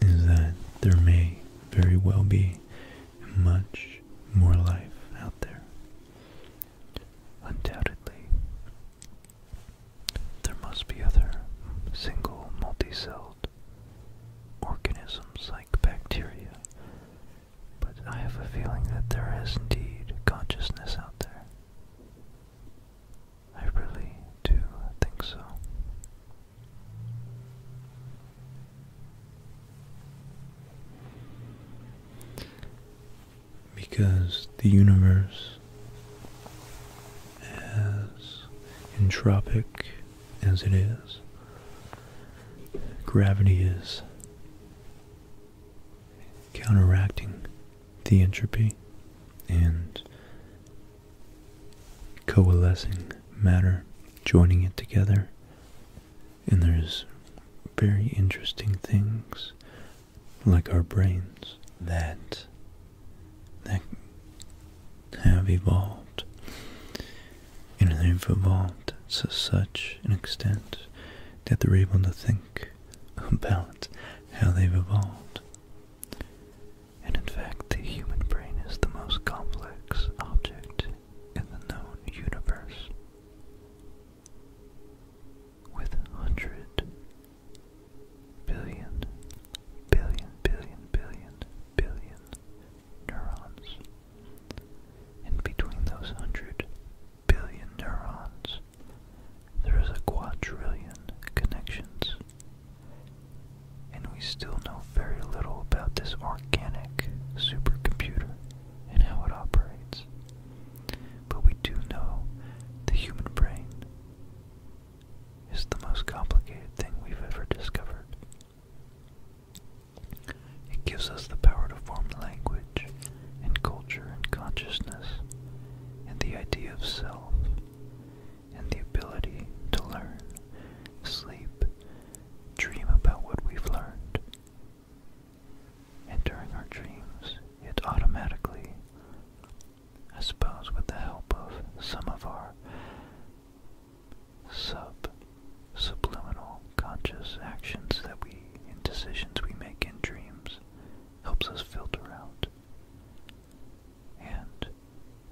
is that there may very well be much more life out there. Undoubtedly, there must be other single multicelled organisms like bacteria, but I have a feeling that there is indeed consciousness out there. I really do think so. Because the universe, as entropic as it is, gravity is counteracting the entropy and coalescing matter, joining it together. And there's very interesting things like our brains that that have evolved and they've evolved to such an extent that they're able to think about how they've evolved and in fact, the human brain is the most complex object in the known universe. With hundred billion, billion, billion, billion, billion neurons. And between those hundred billion neurons, there is a quadrillion connections and we still know very little about this organic supercomputer and how it operates. But we do know the human brain is the most complicated thing we've ever discovered. It gives us the power to form language and culture and consciousness and the idea of self and the ability to learn, sleep, dream about what we've learned. And during our dreams, it automatically, I suppose with the help of some of our sub subliminal conscious actions that we and decisions we make in dreams helps us filter out and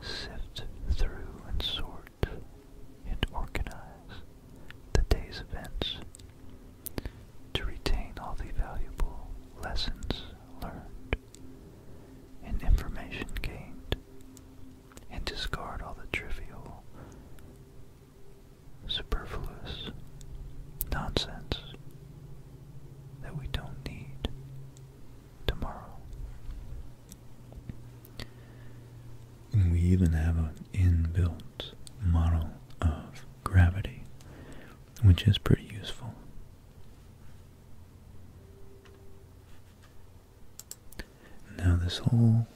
sift through and sort and organize the day's events to retain all the valuable lessons learned and information gained and discard all the trivial, superfluous nonsense that we don't need tomorrow. we even have an inbuilt model of gravity, which is pretty useful. Now this whole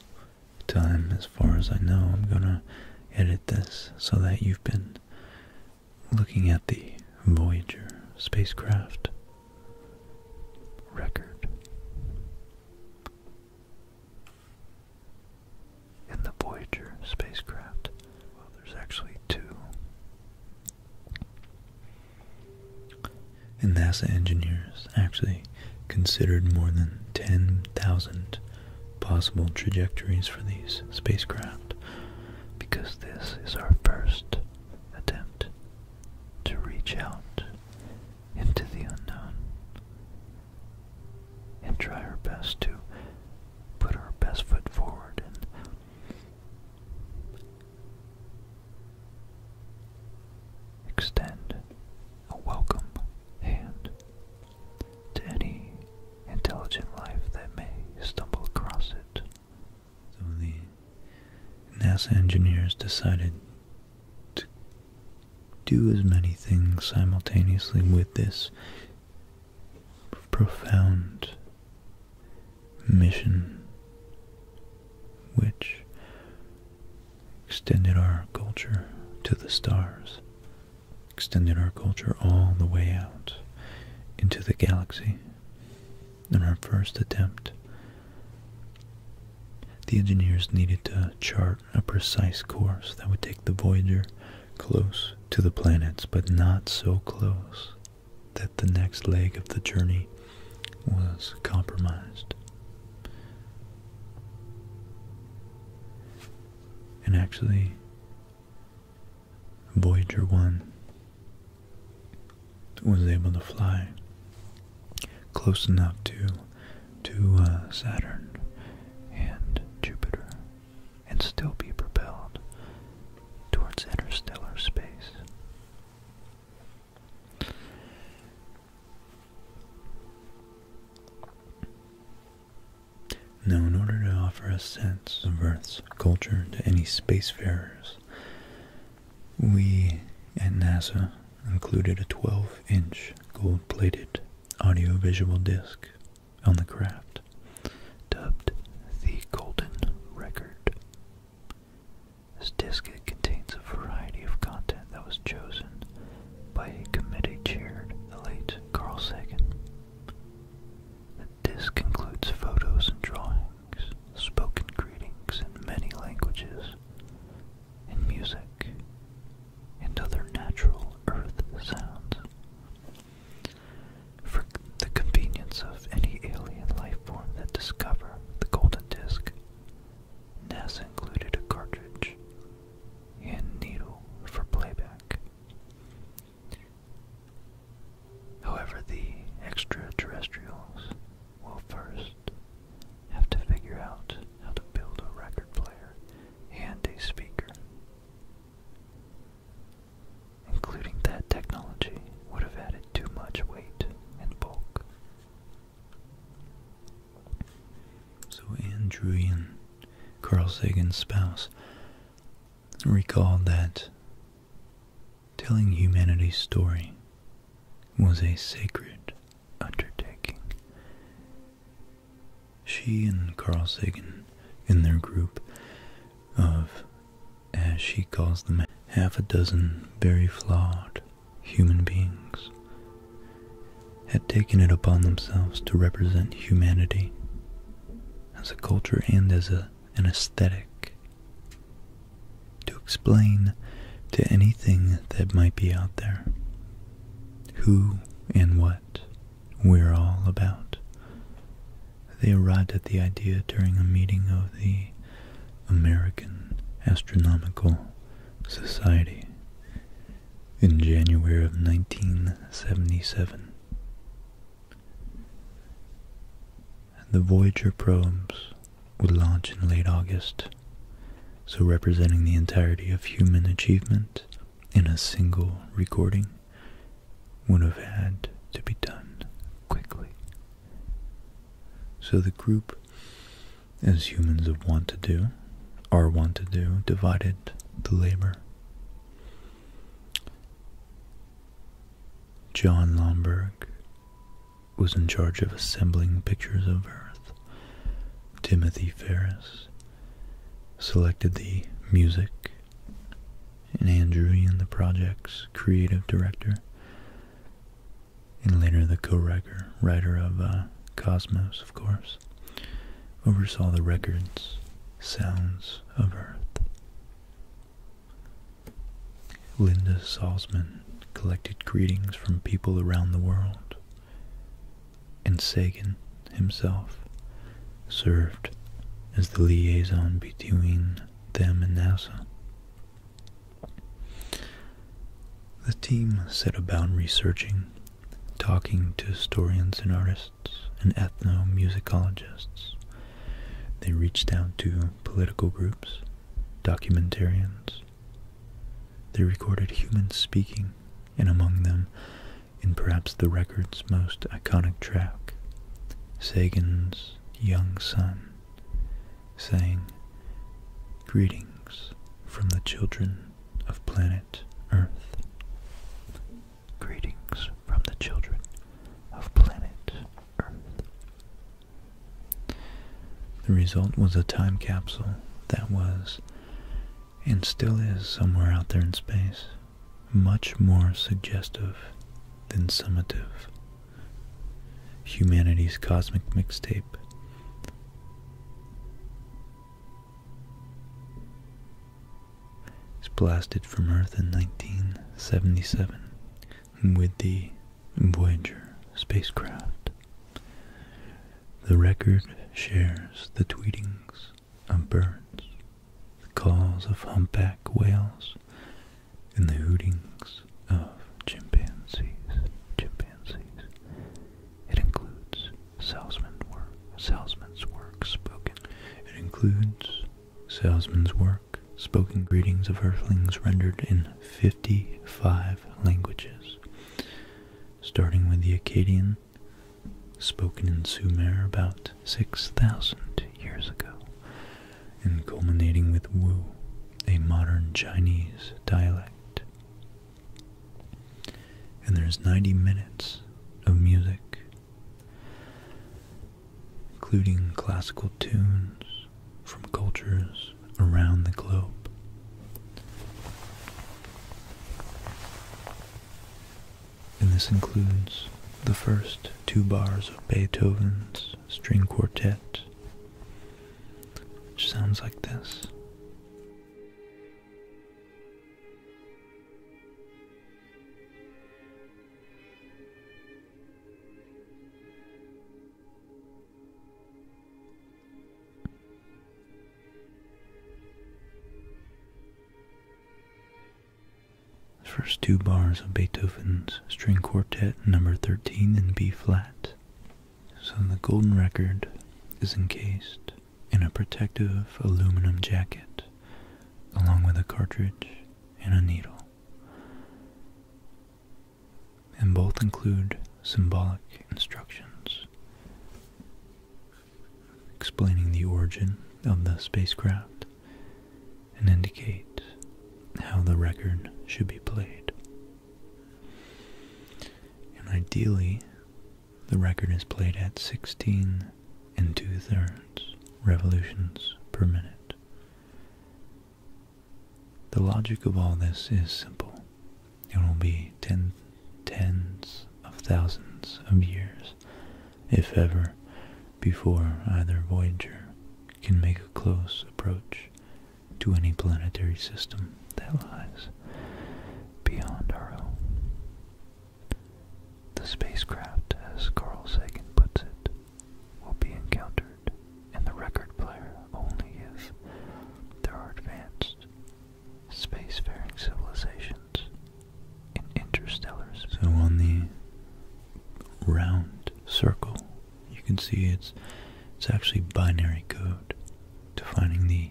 time, as far as I know, I'm going to edit this so that you've been looking at the Voyager spacecraft record. In the Voyager spacecraft, well, there's actually two. And NASA engineers actually considered more than 10,000 possible trajectories for these spacecraft because this is our first attempt to reach out into the unknown and try our best to put our best foot forward and extend a welcome hand to any intelligent life that may stumble across it. So the NASA engineers decided to do as many things simultaneously with this profound mission, which extended our culture to the stars, extended our culture all the way out into the galaxy in our first attempt. The engineers needed to chart a precise course that would take the Voyager close to the planets, but not so close that the next leg of the journey was compromised. And actually, Voyager 1 was able to fly close enough to to uh, Saturn and Jupiter and still be propelled towards interstellar space. Now, in order to offer a sense of Earth's culture to any spacefarers, we at NASA included a 12-inch gold-plated audiovisual disc on the craft, dubbed the Golden Record. This disc contains a variety of content that was chosen by a committee chaired the late Carl Sagan. The disc includes photos and drawings spoken greetings in many languages, and music, and other natural earth sounds. For the convenience of any alien life form that discover the golden disk, NASA included a cartridge and needle for playback. However, the extraterrestrials will first have to figure out how to build a record player and a speaker. Including that technology would have added too much weight and bulk. So Andrewian, Carl Sagan's spouse, recalled that telling humanity's story was a sacred undertaking. She and Carl Sagan, in their group of, as she calls them, half a dozen very flawed human beings, had taken it upon themselves to represent humanity as a culture and as a an aesthetic, to explain to anything that might be out there who and what we're all about. They arrived at the idea during a meeting of the American Astronomical Society in January of 1977 and the Voyager probes would launch in late August, so representing the entirety of human achievement in a single recording would have had to be done quickly. So the group, as humans have want to do, are want to do, divided the labor. John Lomburg was in charge of assembling pictures of Earth. Timothy Ferris selected the music, and Andrew in the project's creative director, and later the co-writer writer of uh, Cosmos, of course, oversaw the records, sounds of Earth. Linda Salzman collected greetings from people around the world, and Sagan himself served as the liaison between them and NASA. The team set about researching, talking to historians and artists and ethnomusicologists. They reached out to political groups documentarians. They recorded humans speaking, and among them, in perhaps the record's most iconic track, Sagan's young son saying, Greetings from the children of planet Earth. Greetings from the children of planet Earth. The result was a time capsule that was, and still is somewhere out there in space, much more suggestive than summative. Humanity's Cosmic Mixtape. It's blasted from Earth in 1977 with the Voyager spacecraft. The record shares the tweetings of birds, the calls of humpback whales, and the hootings of chimpanzees. Chimpanzees. It includes salesman work, salesman's work spoken. It includes salesman's work spoken greetings of Earthlings rendered in 55 languages, starting with the Akkadian, spoken in Sumer about 6,000 years ago, and culminating with Wu, a modern Chinese dialect. And there's 90 minutes of music including classical tunes from cultures around the globe. And this includes the first two bars of Beethoven's string quartet, which sounds like this. The first two bars of Beethoven's String Quartet number 13 in B flat. So the golden record is encased in a protective aluminum jacket along with a cartridge and a needle and both include symbolic instructions explaining the origin of the spacecraft and indicate how the record should be played. And ideally, the record is played at 16 and two thirds revolutions per minute, the logic of all this is simple. It will be ten, tens of thousands of years, if ever, before either Voyager can make a close approach to any planetary system that lies beyond our own. The spacecraft, as Carl Sagan puts it, will be encountered in the record player only if there are advanced spacefaring civilizations in interstellar space. So on the round circle, you can see it's it's actually binary code defining the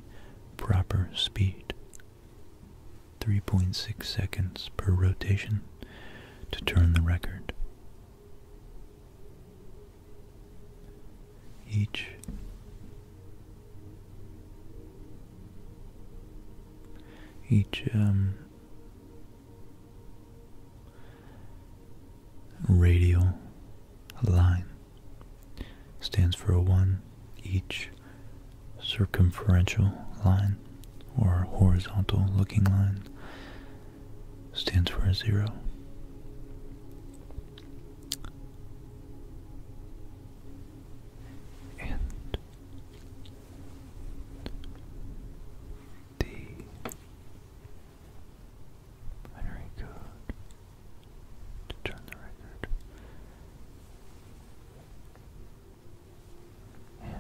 proper speed. 3.6 seconds per rotation to turn the record each each um, radial line stands for a one each circumferential line or horizontal looking line stands for a zero. And the binary code to turn the record. And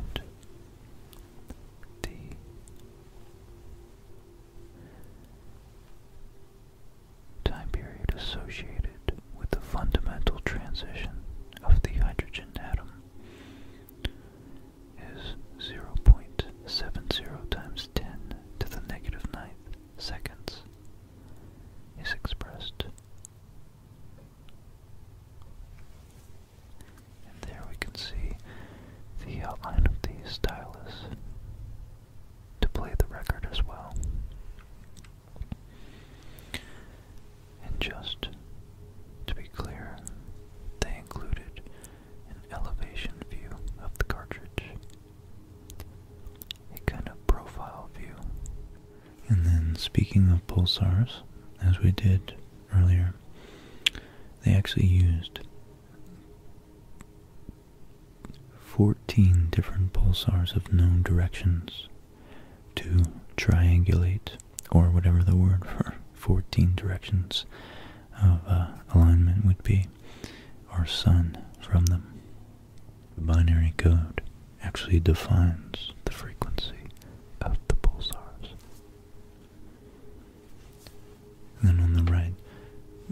the time period associated with the fundamental transition of the hydrogen atom is 0.70 times 10 to the negative ninth seconds is expressed and there we can see the outline of the stylus to play the record as well. And just to be clear, they included an elevation view of the cartridge, a kind of profile view. And then, speaking of pulsars, as we did earlier, they actually used 14 different pulsars of known directions to triangulate, or whatever the word for 14 directions of uh, alignment would be, our sun from them. The binary code actually defines the frequency of the pulsars then on the right,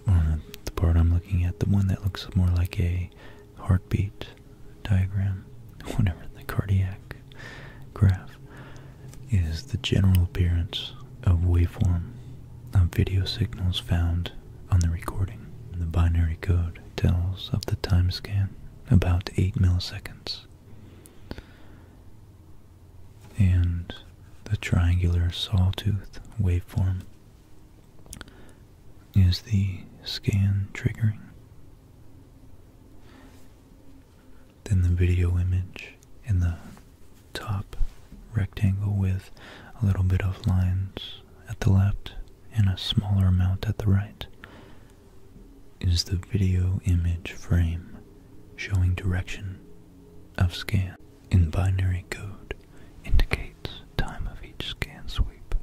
on the part I'm looking at, the one that looks more like a heartbeat diagram, whatever, the cardiac graph, is the general appearance of waveform of video signals found on the recording. the binary code tells of the time scan, about 8 milliseconds and the triangular sawtooth waveform is the scan triggering. Then the video image in the top rectangle with a little bit of lines at the left and a smaller amount at the right is the video image frame showing direction of scan in binary code indicates time of each scan sweep.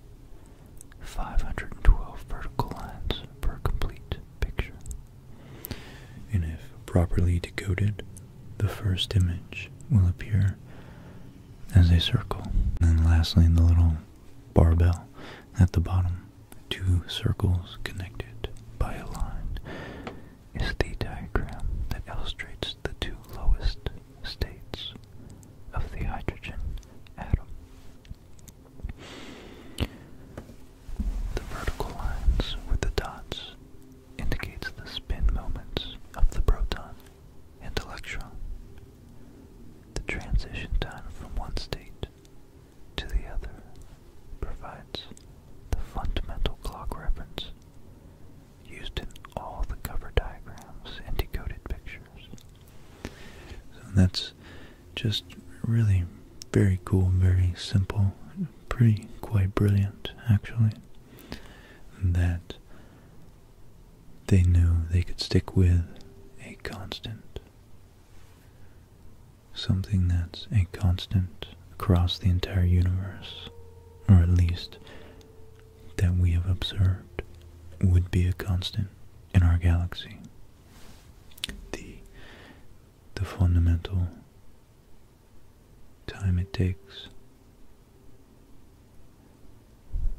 512 vertical lines per complete picture. And if properly decoded, the first image will appear as a circle. And lastly, the little barbell at the bottom, two circles connected by a line is the diagram that illustrates the two lowest states of the hydrogen atom. The vertical lines with the dots indicates the spin moments of the proton and electron. The transition time from one state to the other provides the fundamental clock reference used in all the cover diagrams and decoded pictures. So that's just really very cool, very simple, pretty quite brilliant actually. That they knew they could stick with a constant something that's a constant across the entire universe, or at least that we have observed would be a constant in our galaxy. The, the fundamental time it takes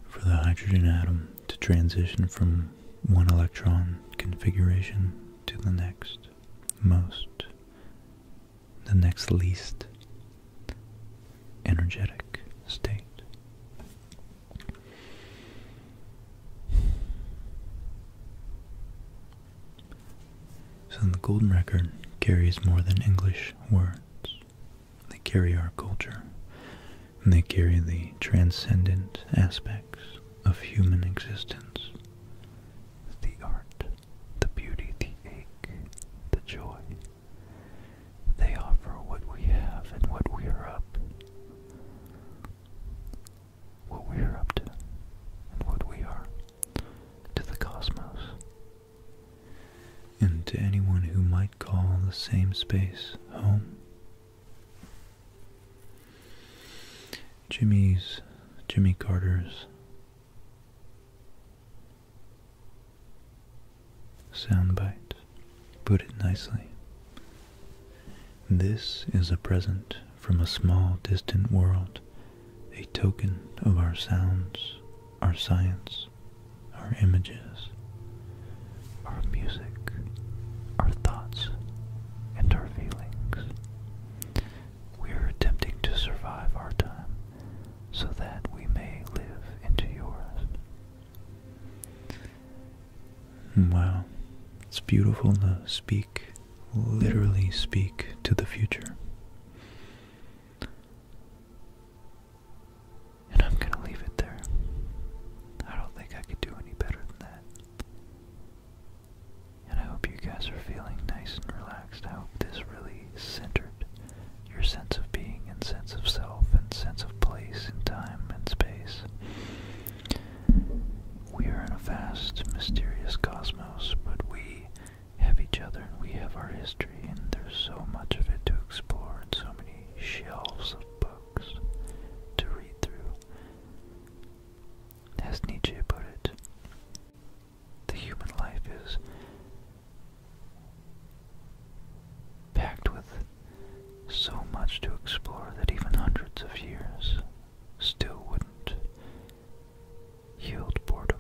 for the hydrogen atom to transition from one electron configuration to the next most the next least energetic state. So the Golden Record carries more than English words. They carry our culture, and they carry the transcendent aspects of human existence, the art the beauty, the ache, the joy. They offer what we have and what we are up. What we are up to and what we are to the cosmos. And to anyone who might call the same space home. Jimmy's, Jimmy Carter's soundbite put it nicely. This is a present from a small distant world, a token of our sounds, our science, our images, our music, our thoughts, and our feelings. We are attempting to survive our time so that we may live into yours. Wow, it's beautiful to speak, literally speak to the future. And I'm going to leave it there. I don't think I could do any better than that and I hope you guys are feeling nice and relaxed. I hope this really centered your sense of being and sense of self and sense of place in time and space. We are in a vast, mysterious cosmos, but we have each other and we have our history, and there's so much of it to explore and so many shelves of books to read through. As Nietzsche put it, the human life is packed with so much to explore that even hundreds of years still wouldn't yield boredom.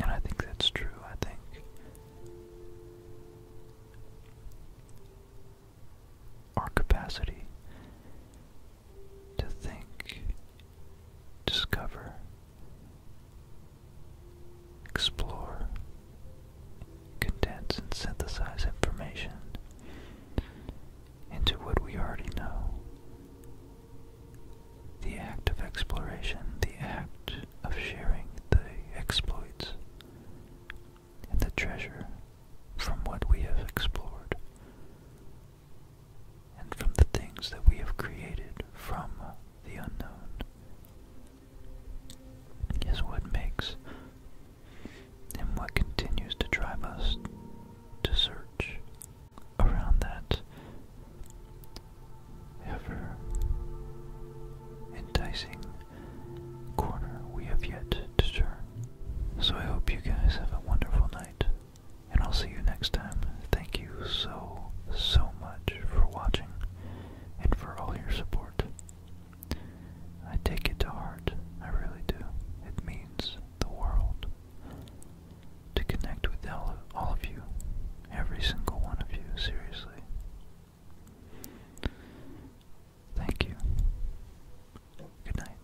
And I think that's true, I think. Our capacity to think, discover, explore, condense, and synthesize information into what we already know. The act of exploration, the act of sharing the exploits and the treasure from what we have explored and from the things that we have created from the unknown is what makes and what continues to drive us to search around that ever enticing corner we have yet to turn. So I hope you guys have a wonderful night and I'll see you next time. Thank you so, so much for watching and for all your support. I take it to heart, I really do. It means the world to connect with all of you, every single one of you, seriously. Thank you. Good night.